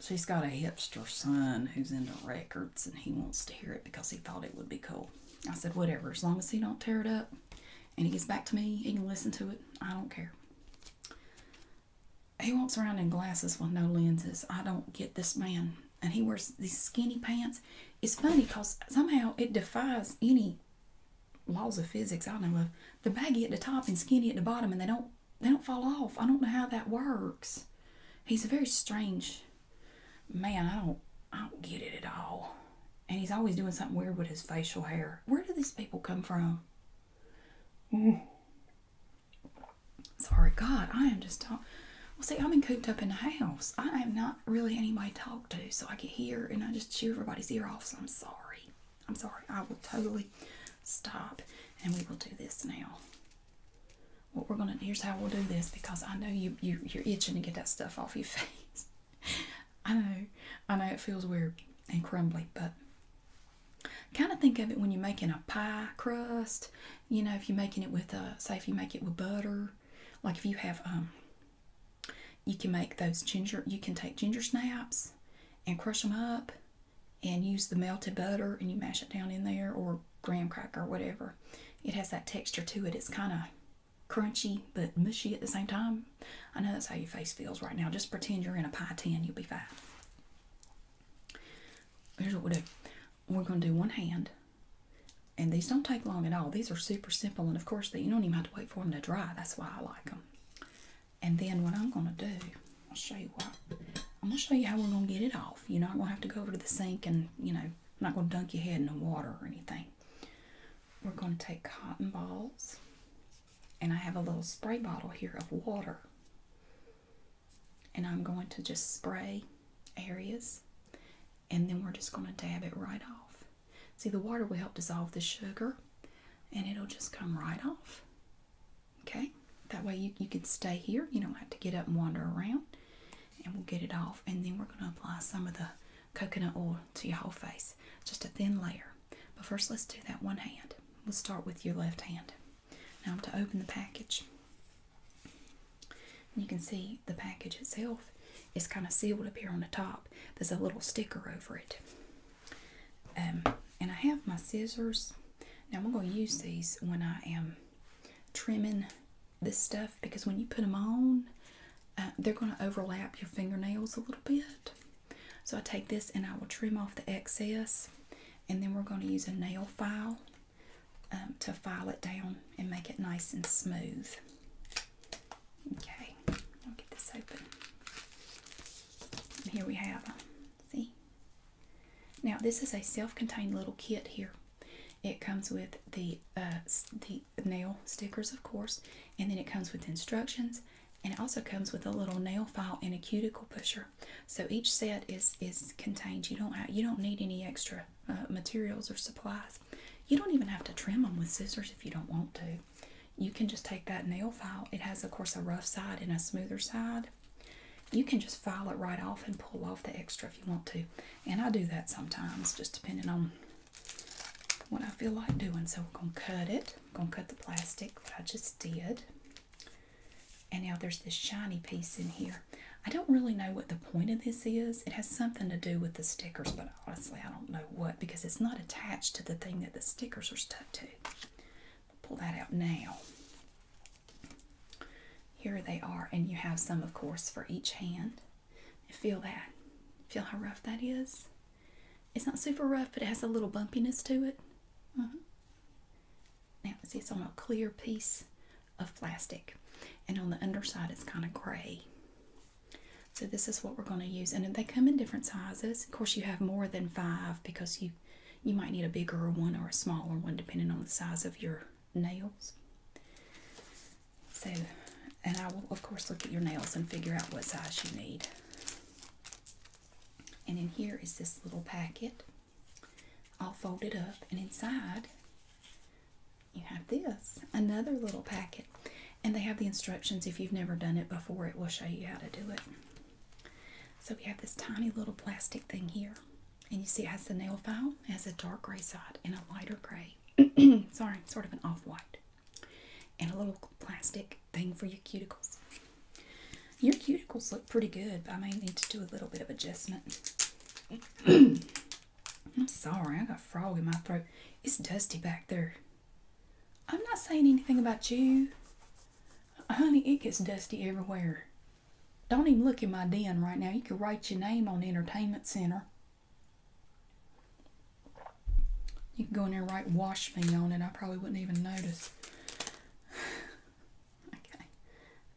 She's got a hipster son who's into records, and he wants to hear it because he thought it would be cool. I said, whatever, as long as he don't tear it up, and he gets back to me, he can listen to it. I don't care. He walks around in glasses with no lenses. I don't get this man. And he wears these skinny pants. It's funny because somehow it defies any laws of physics I know of. The baggy at the top and skinny at the bottom, and they don't they don't fall off. I don't know how that works. He's a very strange man. I don't I don't get it at all. And he's always doing something weird with his facial hair. Where do these people come from? Sorry, God, I am just talking. Uh, well, see, i have been cooped up in the house. I am not really anybody talk to, so I get here and I just chew everybody's ear off. So I'm sorry. I'm sorry. I will totally stop, and we will do this now. What we're gonna here's how we'll do this because I know you you you're itching to get that stuff off your face. I know, I know it feels weird and crumbly, but kind of think of it when you're making a pie crust. You know, if you're making it with a uh, say if you make it with butter, like if you have um you can make those ginger, you can take ginger snaps and crush them up and use the melted butter and you mash it down in there or graham cracker, whatever. It has that texture to it. It's kind of crunchy but mushy at the same time. I know that's how your face feels right now. Just pretend you're in a pie tin, you'll be fine. Here's what we do. We're going to do one hand and these don't take long at all. These are super simple, and of course, they, you don't even have to wait for them to dry. That's why I like them. And then what I'm gonna do, I'll show you what. I'm gonna show you how we're gonna get it off. you know, I'm gonna have to go over to the sink and you know, I'm not gonna dunk your head in the water or anything. We're gonna take cotton balls, and I have a little spray bottle here of water. And I'm going to just spray areas, and then we're just gonna dab it right off. See, the water will help dissolve the sugar and it'll just come right off. Okay, that way you, you can stay here. You don't have to get up and wander around. And we'll get it off. And then we're going to apply some of the coconut oil to your whole face, just a thin layer. But first, let's do that one hand. We'll start with your left hand. Now, I'm to open the package. And you can see the package itself is kind of sealed up here on the top. There's a little sticker over it. Um, and I have my scissors. Now I'm going to use these when I am trimming this stuff because when you put them on, uh, they're going to overlap your fingernails a little bit. So I take this and I will trim off the excess and then we're going to use a nail file um, to file it down and make it nice and smooth. Okay, I'll get this open. Here we have, see? Now this is a self-contained little kit here. It comes with the uh, the nail stickers, of course, and then it comes with instructions, and it also comes with a little nail file and a cuticle pusher. So each set is is contained. You don't you don't need any extra uh, materials or supplies. You don't even have to trim them with scissors if you don't want to. You can just take that nail file. It has, of course, a rough side and a smoother side. You can just file it right off and pull off the extra if you want to. And I do that sometimes, just depending on what I feel like doing. So we're going to cut it. I'm going to cut the plastic that I just did. And now there's this shiny piece in here. I don't really know what the point of this is. It has something to do with the stickers, but honestly, I don't know what because it's not attached to the thing that the stickers are stuck to. Pull that out now. Here they are, and you have some, of course, for each hand. feel that. Feel how rough that is. It's not super rough, but it has a little bumpiness to it. Mm -hmm. Now, see, it's on a clear piece of plastic, and on the underside, it's kind of gray. So this is what we're going to use, and they come in different sizes. Of course, you have more than five because you you might need a bigger one or a smaller one depending on the size of your nails. So, and I will of course look at your nails and figure out what size you need. And in here is this little packet, all folded up, and inside you have this another little packet and they have the instructions if you've never done it before it will show you how to do it so we have this tiny little plastic thing here and you see it has the nail file it has a dark gray side and a lighter gray sorry sort of an off-white and a little plastic thing for your cuticles your cuticles look pretty good but i may need to do a little bit of adjustment I'm sorry, I got a frog in my throat. It's dusty back there. I'm not saying anything about you. Honey, it gets dusty everywhere. Don't even look in my den right now. You could write your name on entertainment center. You can go in there and write wash me on it. I probably wouldn't even notice. okay.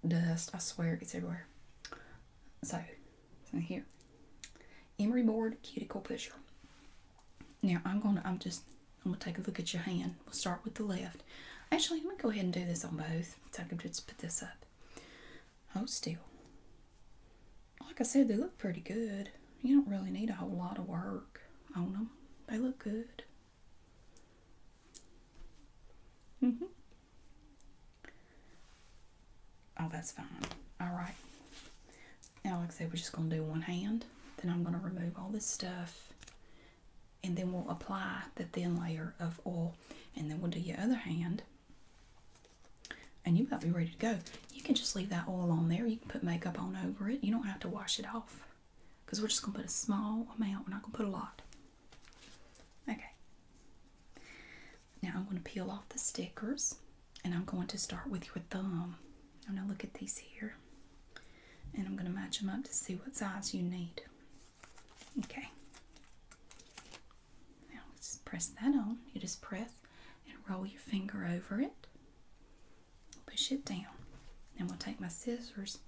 Dust, I swear it gets everywhere. Sorry. So here, emery board cuticle pusher. Now I'm gonna, I'm just, I'm gonna take a look at your hand. We'll start with the left. Actually, let me go ahead and do this on both. So I can just put this up. Hold still. Like I said, they look pretty good. You don't really need a whole lot of work on them. They look good. hmm Oh, that's fine. All right. Now, like I said, we're just going to do one hand. Then I'm going to remove all this stuff. And then we'll apply the thin layer of oil. And then we'll do your other hand. And you might be ready to go. You can just leave that oil on there. You can put makeup on over it. You don't have to wash it off. Because we're just going to put a small amount. We're not going to put a lot. Okay. Now I'm going to peel off the stickers and I'm going to start with your thumb. I'm going to look at these here and I'm going to match them up to see what size you need. Okay. Now just press that on. You just press and roll your finger over it. Push it down. Now we'll take my scissors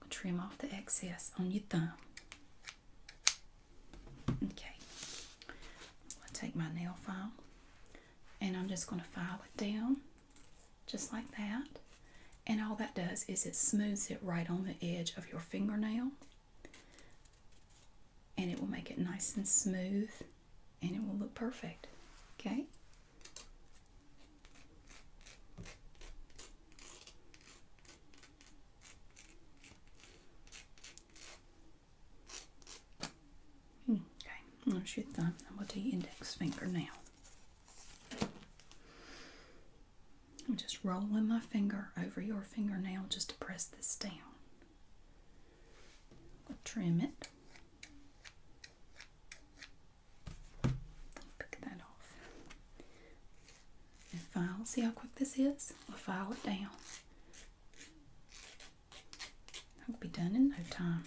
and trim off the excess on your thumb. Okay, I'll take my nail file and I'm just going to file it down just like that. And all that does is it smooths it right on the edge of your fingernail and it will make it nice and smooth and it will look perfect. Okay. Hmm. Okay, I'm that's your thumb. Now we'll do your index finger now. I'm just rolling my finger over your fingernail just to press this down. trim it. Pick that off. And file, see how quick this is? we file it down. That will be done in no time.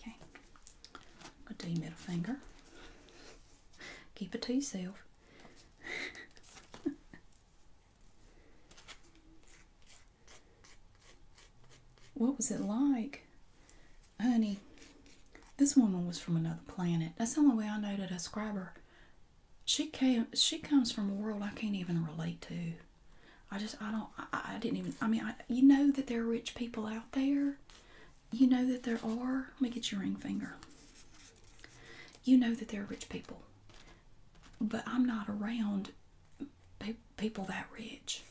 Okay, I'm going to do middle finger. Keep it to yourself. what was it like? Honey, this woman was from another planet. That's the only way I know to describe her. She came. She comes from a world I can't even relate to. I just. I don't. I, didn't even. I mean, I, you know that there are rich people out there. You know that there are. Let me get your ring finger. You know that there are rich people, but I'm not around people that rich.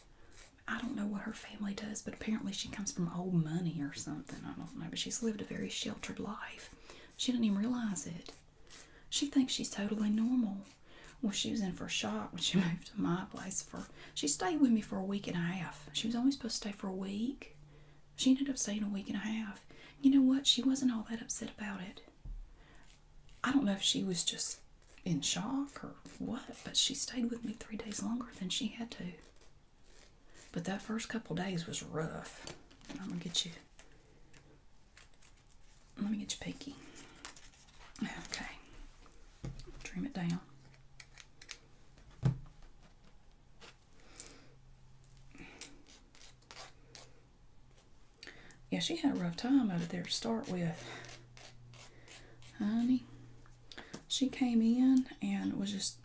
I don't know what her family does, but apparently she comes from old money or something. I don't know, but she's lived a very sh life. She didn't even realize it. She thinks she's totally normal. Well, she was in for a shock when she moved to my place. For she stayed with me for a week and a half. She was only supposed to stay for a week. She ended up staying a week and a half. You know what? She wasn't all that upset about it. I don't know if she was just in shock or what, but she stayed with me three days longer than she had to. But that first couple days was rough. I'm gonna get you. Let me get you pinky. Okay. Trim it down. Yeah, she had a rough time out of there to start with. Honey, she came in and was just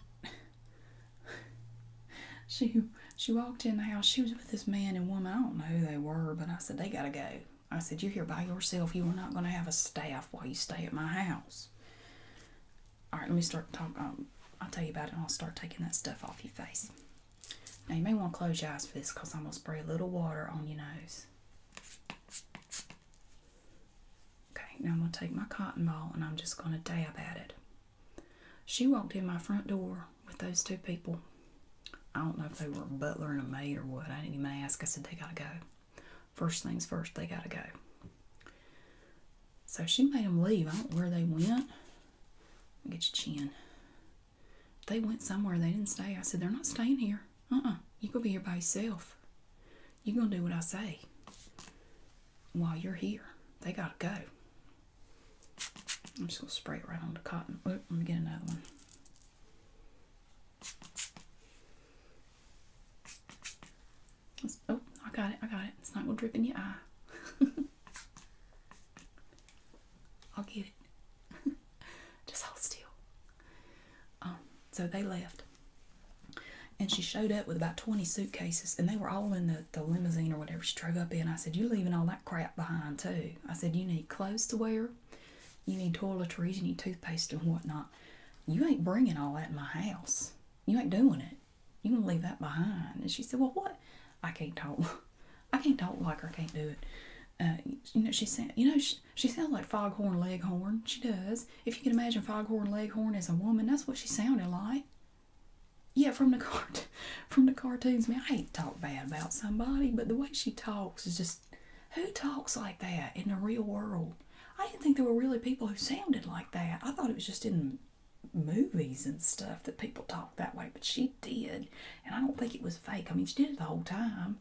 she she walked in the house. She was with this man and woman. I don't know who they were, but I said they gotta go. I said you're here by yourself. You are not gonna have a staff while you stay at my house. All right, let me start talking. Um, I'll tell you about it, I'll start taking that stuff off your face. Now you may want to close your eyes for this, cause I'm gonna spray a little water on your nose. Okay, now I'm going to take my cotton ball and I'm just going to dab at it. She walked in my front door with those two people. I don't know if they were a butler and a maid or what. I didn't even ask. I said, they got to go. First things first, they got to go. So she made them leave. I don't know where they went. Get your chin. They went somewhere. They didn't stay. I said, they're not staying here. Uh-uh. you going to be here by yourself. you going to do what I say while you're here. They gotta go. I'm just gonna spray it right on the cotton. Oh, let me get another one. oh, I got it, I got it. It's not gonna drip in your eye. I'll get it. just hold still. Um, so they left. And she showed up with about 20 suitcases, and they were all in the, limousine or whatever she drove up in. I said, You're leaving all that crap behind, too. I said, You need clothes to wear, you need toiletries, you need toothpaste and whatnot. You ain't bringing all that in my house. You ain't doing it. You gonna leave that behind. And she said, Well, what? I can't talk. I can't talk like her. I can't do it. Uh, you know, she said, you know, she, she sounds like Foghorn Leghorn. She does. If you can imagine Foghorn Leghorn as a woman, that's what she sounded like. Yeah, from the cart, from the cartoons. Man, I ain't talk bad about somebody, but the way she talks is just who talks like that in the real world? I didn't think there were really people who sounded like that. I thought it was just in movies and stuff that people talk that way, but she did, and I don't think it was fake. I mean, she did it the whole time.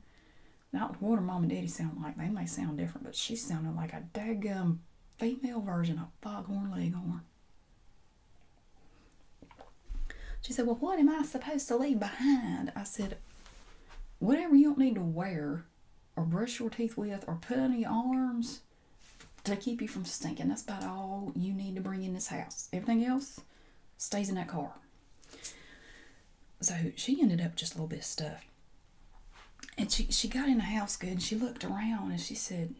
Now, what her mom and daddy sound like, they may sound different, but she sounded like a daggum female version of foghorn leghorn. She said, Well, what am I supposed to leave behind? I said, Whatever you don't need to wear or brush your teeth with or put on your arms to keep you from stinking. That's about all you need to bring in this house. Everything else stays in that car. So she ended up just a little bit of stuff and she, she got in the house good and she looked around and she said,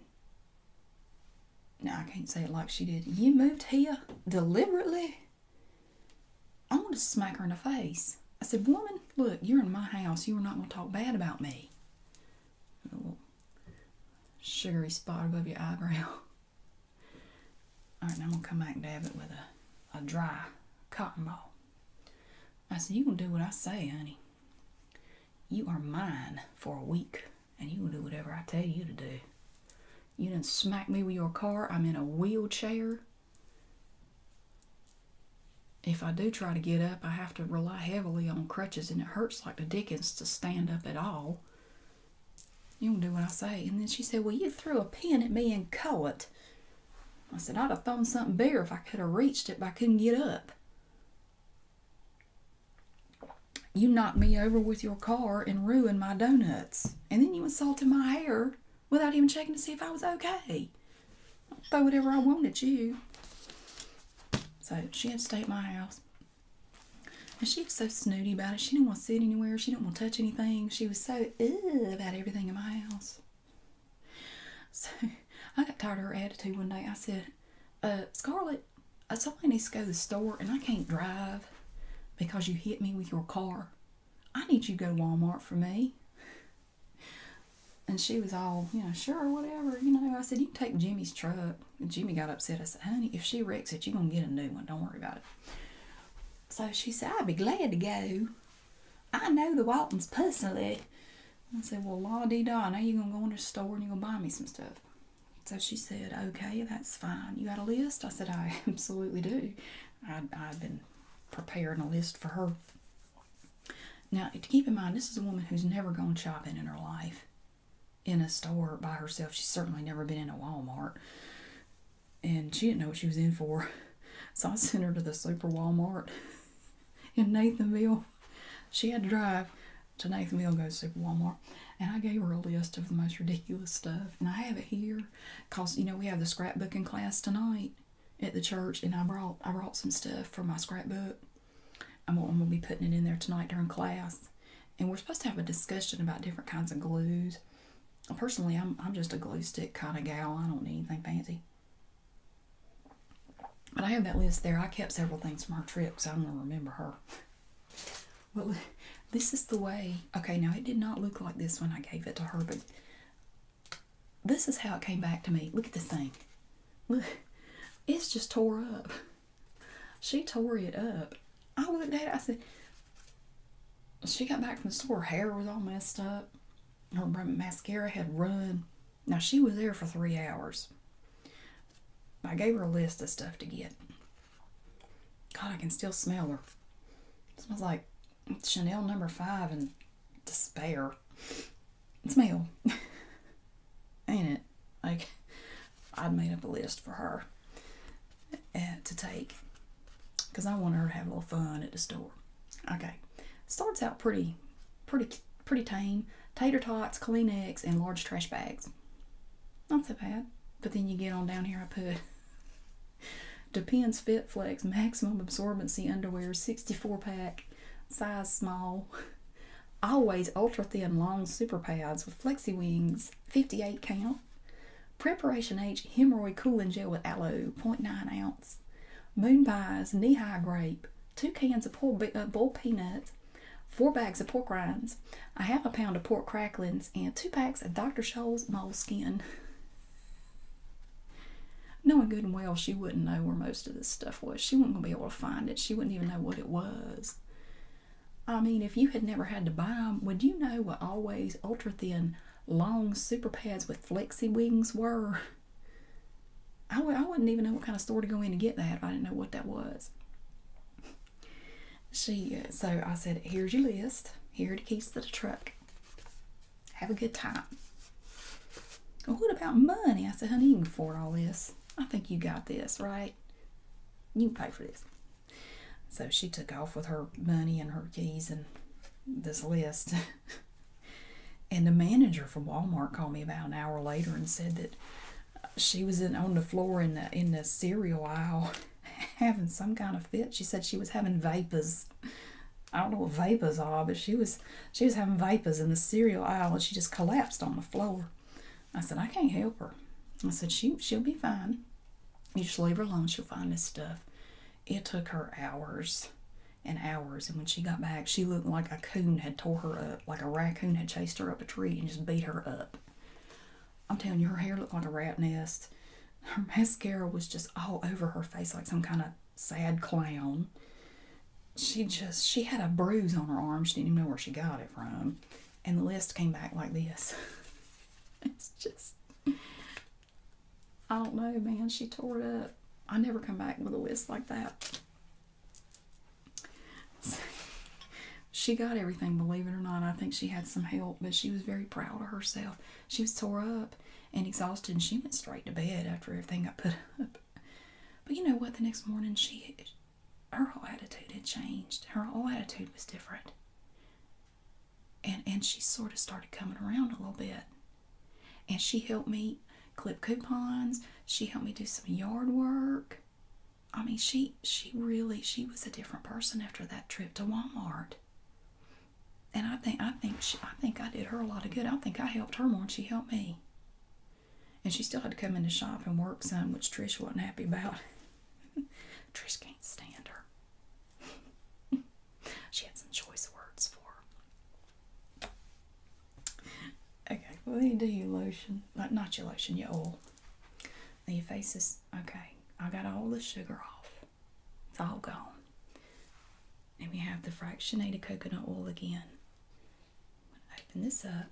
No, I can't say it like she did. You moved here deliberately? I want to smack her in the face. I said, Woman, look, you're in my house. You are not going to talk bad about me. little sugary spot above your eyebrow. All right, now I'm going to come back and dab it with a, a dry cotton ball. I said, you gonna do what I say, honey. You are mine for a week, and you gonna do whatever I tell you to do. You didn't smack me with your car. I'm in a wheelchair. If I do try to get up, I have to rely heavily on crutches, and it hurts like the dickens to stand up at all. You don't do what I say. And then she said, Well, you threw a pin at me and caught it. I said, I'd have thrown something bigger if I could have reached it, but I couldn't get up. You knocked me over with your car and ruined my donuts. And then you insulted my hair without even checking to see if I was okay. I'll whatever I wanted at you. So she had to stay at my house. And she was so snooty about it. She didn't want to sit anywhere. She didn't want to touch anything. She was so ugh about everything in my house. So I got tired of her attitude one day. I said, uh, Scarlett, uh, somebody needs to go to the store and I can't drive because you hit me with your car. I need you to go to Walmart for me. And she was all, you know, sure, whatever. You know, I said, you can take Jimmy's truck. Jimmy got upset. I said, honey, if she wrecks it, you're going to get a new one. Don't worry about it. So she said, I'd be glad to go. I know the Waltons personally. I said, Well, la dee da, now you going to go in the store and you going to buy me some stuff. So she said, Okay, that's fine. You got a list? I said, I absolutely do. I've been preparing a list for her. Now, to keep in mind, this is a woman who's never gone shopping in her life in a store by herself. She's certainly never been in a Walmart. And she didn't know what she was in for. So I sent her to the super Walmart in Nathanville. She had to drive to Nathanville and go to Super Walmart. And I gave her a list of the most ridiculous stuff. And I have it here because, you know, we have the scrapbooking class tonight at the church. And I brought, I brought some stuff for my scrapbook. i I'm going to be putting it in there tonight during class. And we're supposed to have a discussion about different kinds of glues. Personally, I'm, I'm just a glue stick kind of gal. I don't need anything fancy. But I have that list there. I kept several things from her trip so I want to remember her. Well, this is the way. Okay, now it did not look like this when I gave it to her, but this is how it came back to me. Look at this thing. Look, it's just tore up. She tore it up. I looked at it, I said, she got back from the store, her hair was all messed up. Her mascara had run. Now, she was there for three hours. I gave her a list of stuff to get. God, I can still smell her. smells like Chanel number five and despair. It's male, Ain't it? Like, I'd made up a list for her eh, to take because I want her to have a little fun at the store. Okay. Starts out pretty pretty pretty tame. Tater tots, Kleenex, and large trash bags. Not so bad. But then you get on down here, I put Depends Fit Flex Maximum Absorbency Underwear 64 pack, size small. Always ultra thin long super pads with flexi wings, 58 count. Preparation H hemorrhoid cooling gel with aloe, 0.9 ounce. Moon pies, knee high grape, two cans of uh, boiled, uh, peanuts, four bags of pork rinds, a half a pound of pork cracklings, and two packs of Dr. Scholl's moleskin. Knowing good and well she wouldn't know where most of this stuff was. She wouldn't be able to find it. She wouldn't even know what it was. I mean, if you had never had to buy them, would you know what always ultra thin, long super pads with flexi wings were? I w I wouldn't even know what kind of store to go in to get that if I didn't know what that was. She, uh, so I said, here's your list. Here are the keys to the truck. Have a good time. what about money? I said, honey, you can afford all this. I think you got this, right? You pay for this. So she took off with her money and her keys and this list. And the manager from Walmart called me about an hour later and said that she was on the floor in the in the cereal aisle having some kind of fit. She said she was having vapors. I don't know what vapors are, but she was she was having vapors in the cereal aisle and she just collapsed on the floor. I said, I can't help her. I said, she she'll be fine. You just leave her alone, she'll find this stuff. It took her hours and hours. And when she got back, she looked like a coon had tore her up, like a raccoon had chased her up a tree and just beat her up. I'm telling you, her hair looked like a rat nest. Her mascara was just all over her face, like some kind of sad clown. She just, she had a bruise on her arm. She didn't even know where she got it from. And the list came back like this. it's just, I don't know, man. She tore it up. I never come back with a list like that. she got everything, believe it or not. I think she had some help, but she was very proud of herself. She was sore up and exhausted, and she went straight to bed after everything I put up. But you know what? The next morning, she her whole attitude had changed. Her whole attitude was different. And and she sort of started coming around a little bit. And she helped me clip coupons. She helped me do some yard work. I mean, she she really she was a different person after that trip to Walmart. And I think I think she, I think I did her a lot of good. I think I helped her more than she helped me. And she still had to come in the shop and work some, which Trish wasn't happy about. Trish can't stand her. she had some choice words for her. Okay, What do you do your lotion. Like not your lotion, your oil. And your face is okay. I got all the sugar off. It's all gone. And we have the fractionated coconut oil again. I'm gonna open this up.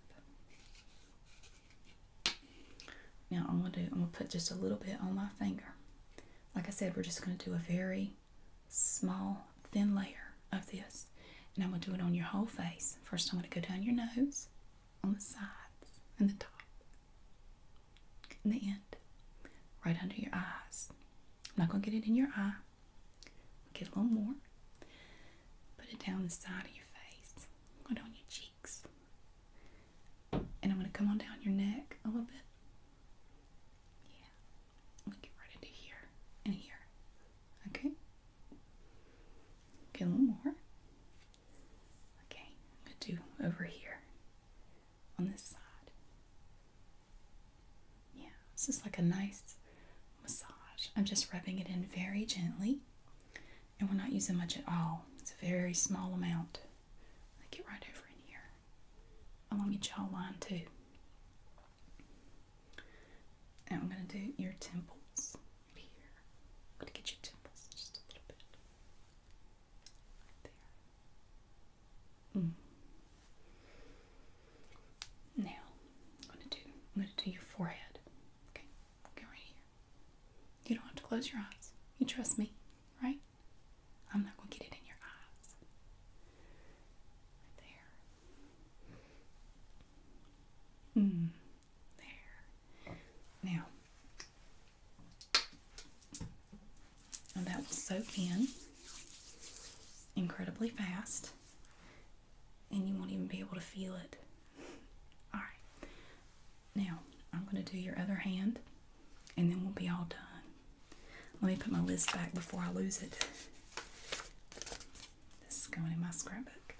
Now I'm gonna do I'm gonna put just a little bit on my finger. Like I said, we're just gonna do a very small, thin layer of this. And I'm going to do it on your whole face. First, I'm going to go down your nose, on the sides, and the top, and the end, right under your eyes. I'm not going to get it in your eye. Get a little more. Put it down the side of your face. Go on your cheeks. And I'm going to come on down your neck a little bit. Yeah we get right into here and here. Okay. Okay, a little more. Okay, I'm gonna do over here on this side. Yeah, this is like a nice massage. I'm just rubbing it in very gently, and we're not using much at all. It's a very small amount. I get right over in here along your jawline too. Now I'm going to do your temples here. going to get your temples just a little bit. there. Mm. Now I'm going to do I'm going to do your forehead. Okay, go right here. You don't have to close your eyes. You trust me, right? I'm not going to get it in your eyes. there. Mm, there. Now, and that will soak in incredibly fast, and you won't even be able to feel it. All right. Now, I'm going to do your other hand, and then we'll be all done. Let me put my list back before I lose it. This is going in my scrapbook.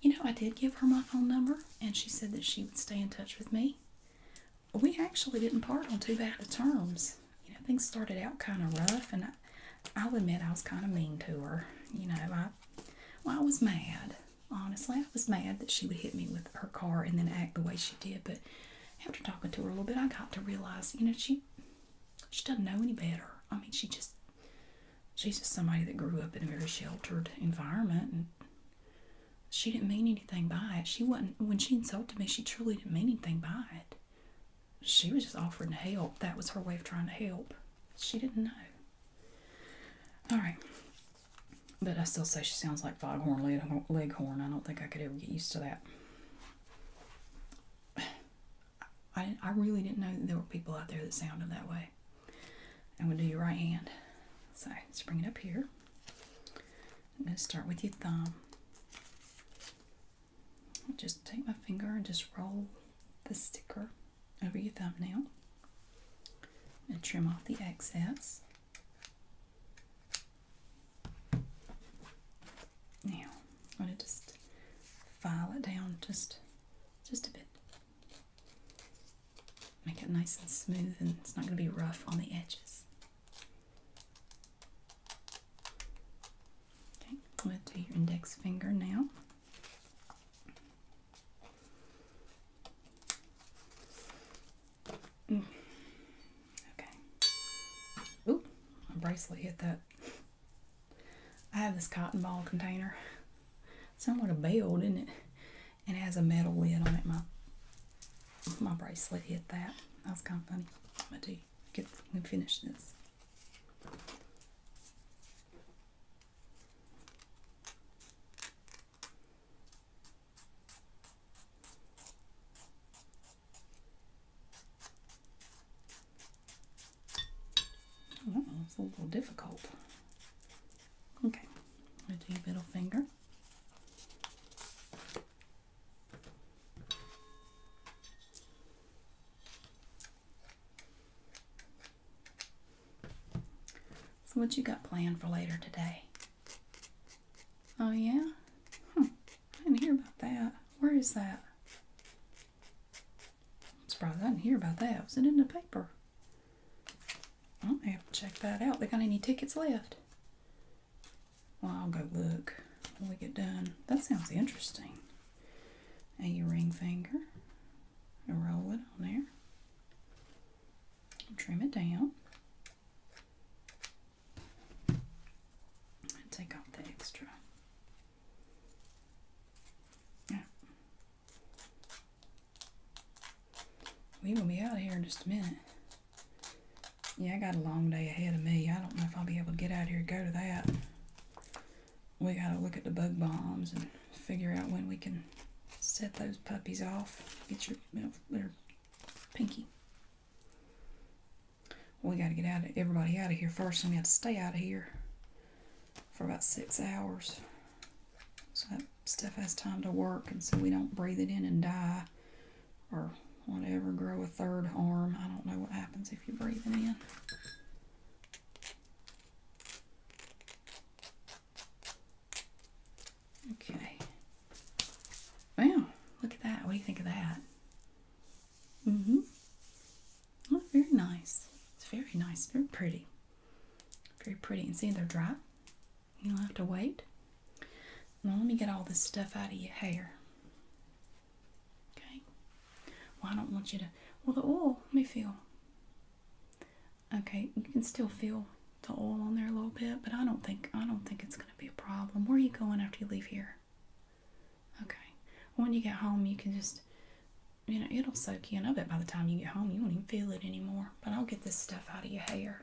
You know, I did give her my phone number and she said that she would stay in touch with me. We actually didn't part on too bad of terms. You know, things started out kind of rough and I, I'll admit I was kind of mean to her. You know, I, well, I was mad. Honestly, I was mad that she would hit me with her car and then act the way she did. But after talking to her a little bit, I got to realize, you know, she she doesn't know any better. I mean, she just she's just somebody that grew up in a very sheltered environment, and she didn't mean anything by it. She wasn't when she insulted me. She truly didn't mean anything by it. She was just offering to help. That was her way of trying to help. She didn't know. All right. But I still say she sounds like Foghorn Leghorn. I don't think I could ever get used to that. I, really didn't know that there were people out there that sounded that way. I'm going to do your right hand. So let's bring it up here. I'm going to start with your thumb. Just take my finger and just roll the sticker over your thumbnail and trim off the excess. Now, I'm going to just file it down just, just a bit. Make it nice and smooth and it's not going to be rough on the edges. Okay, I'm going to do your index finger now. Mm. Okay. Ooh, my bracelet hit that. I have this cotton ball container. It's somewhat a bell, isn't it? And it has a metal lid on it. My my bracelet hit that. That's kind of funny. I'm gonna get and finish this. Well, it's a little difficult. Okay, I'm going to do middle finger. So what you got planned for later today? Oh, yeah? Huh. Hmm. I didn't hear about that. Where is that? I'm surprised I didn't hear about that. Was it in the paper? I might have to check that out. They got any tickets left? Well, I'll go look when we get done. That sounds interesting. A ring finger. And roll it on there. Trim it down take out the extra. Yeah. We will be out of here in just a minute. Yeah, I got a long day ahead of me. I don't know if I'll be able to get out here go to that. We gotta look at the bug bombs and figure out when we can set those puppies off. Get your, your pinky. We got to get out of everybody out of here first. I'm going to stay out of here for about six hours. So that stuff has time to work and so we don't breathe it in and die or whatever, grow a third arm. I don't know what happens if you breathe it in. Okay. Wow, look at that. What do you think of that? Mm-hmm. Oh, very nice. It's very nice, very pretty. Very pretty. And see, they're dry. You don't have to wait. Now let me get all this stuff out of your hair. Okay. Well, I don't want you to... Well, the oil, let me feel. Okay, you can still feel the oil on there a little bit, but I don't think I don't think it's going to be a problem. Where are you going after you leave here? Okay. When you get home, you can just, you know, it'll soak you in. I bet by the time you get home, you won't even feel it anymore. But I'll get this stuff out of your hair.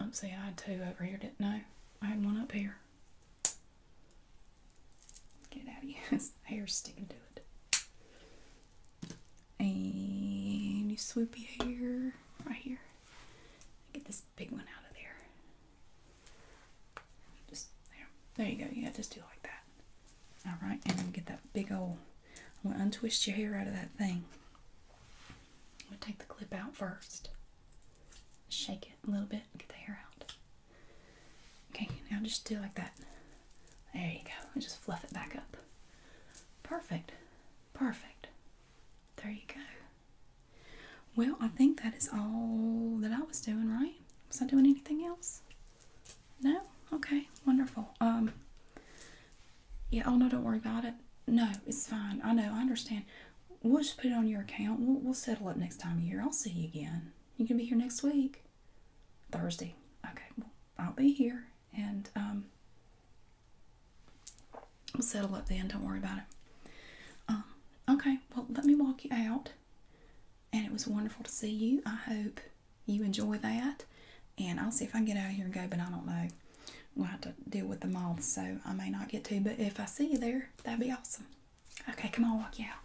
I'm oh, see, I had two over here, didn't I? I had one up here. Get out of here. hair's sticking to it and you swoop hair right here. Get this big one out of there. Just there. There you go. Yeah, just do like that. All right, and get that big old. I'm gonna untwist your hair out of that thing. I'm gonna take the clip out first. Shake it a little bit. Get the hair out. Okay, now just do like that. There you go. just fluff it back up. Perfect. Perfect. There you go. Well, I think that is all that I was doing, right? Was I doing anything else? No? Okay, wonderful. Um yeah, oh no, don't worry about it. No, it's fine. I know, I understand. We'll just put it on your account. We'll, we'll settle up next time you're here. I'll see you again. You can be here next week. Thursday. Okay, I'll be here and um, we'll settle up then. Don't worry about it. Um, okay, well, let me walk you out. And it was wonderful to see you. I hope you enjoy that. And I'll see if I get out of here and go, but I don't know. We'll have to deal with the moths, so I may not get to. But if I see you there, that'd be awesome. Okay, come on, walk you out.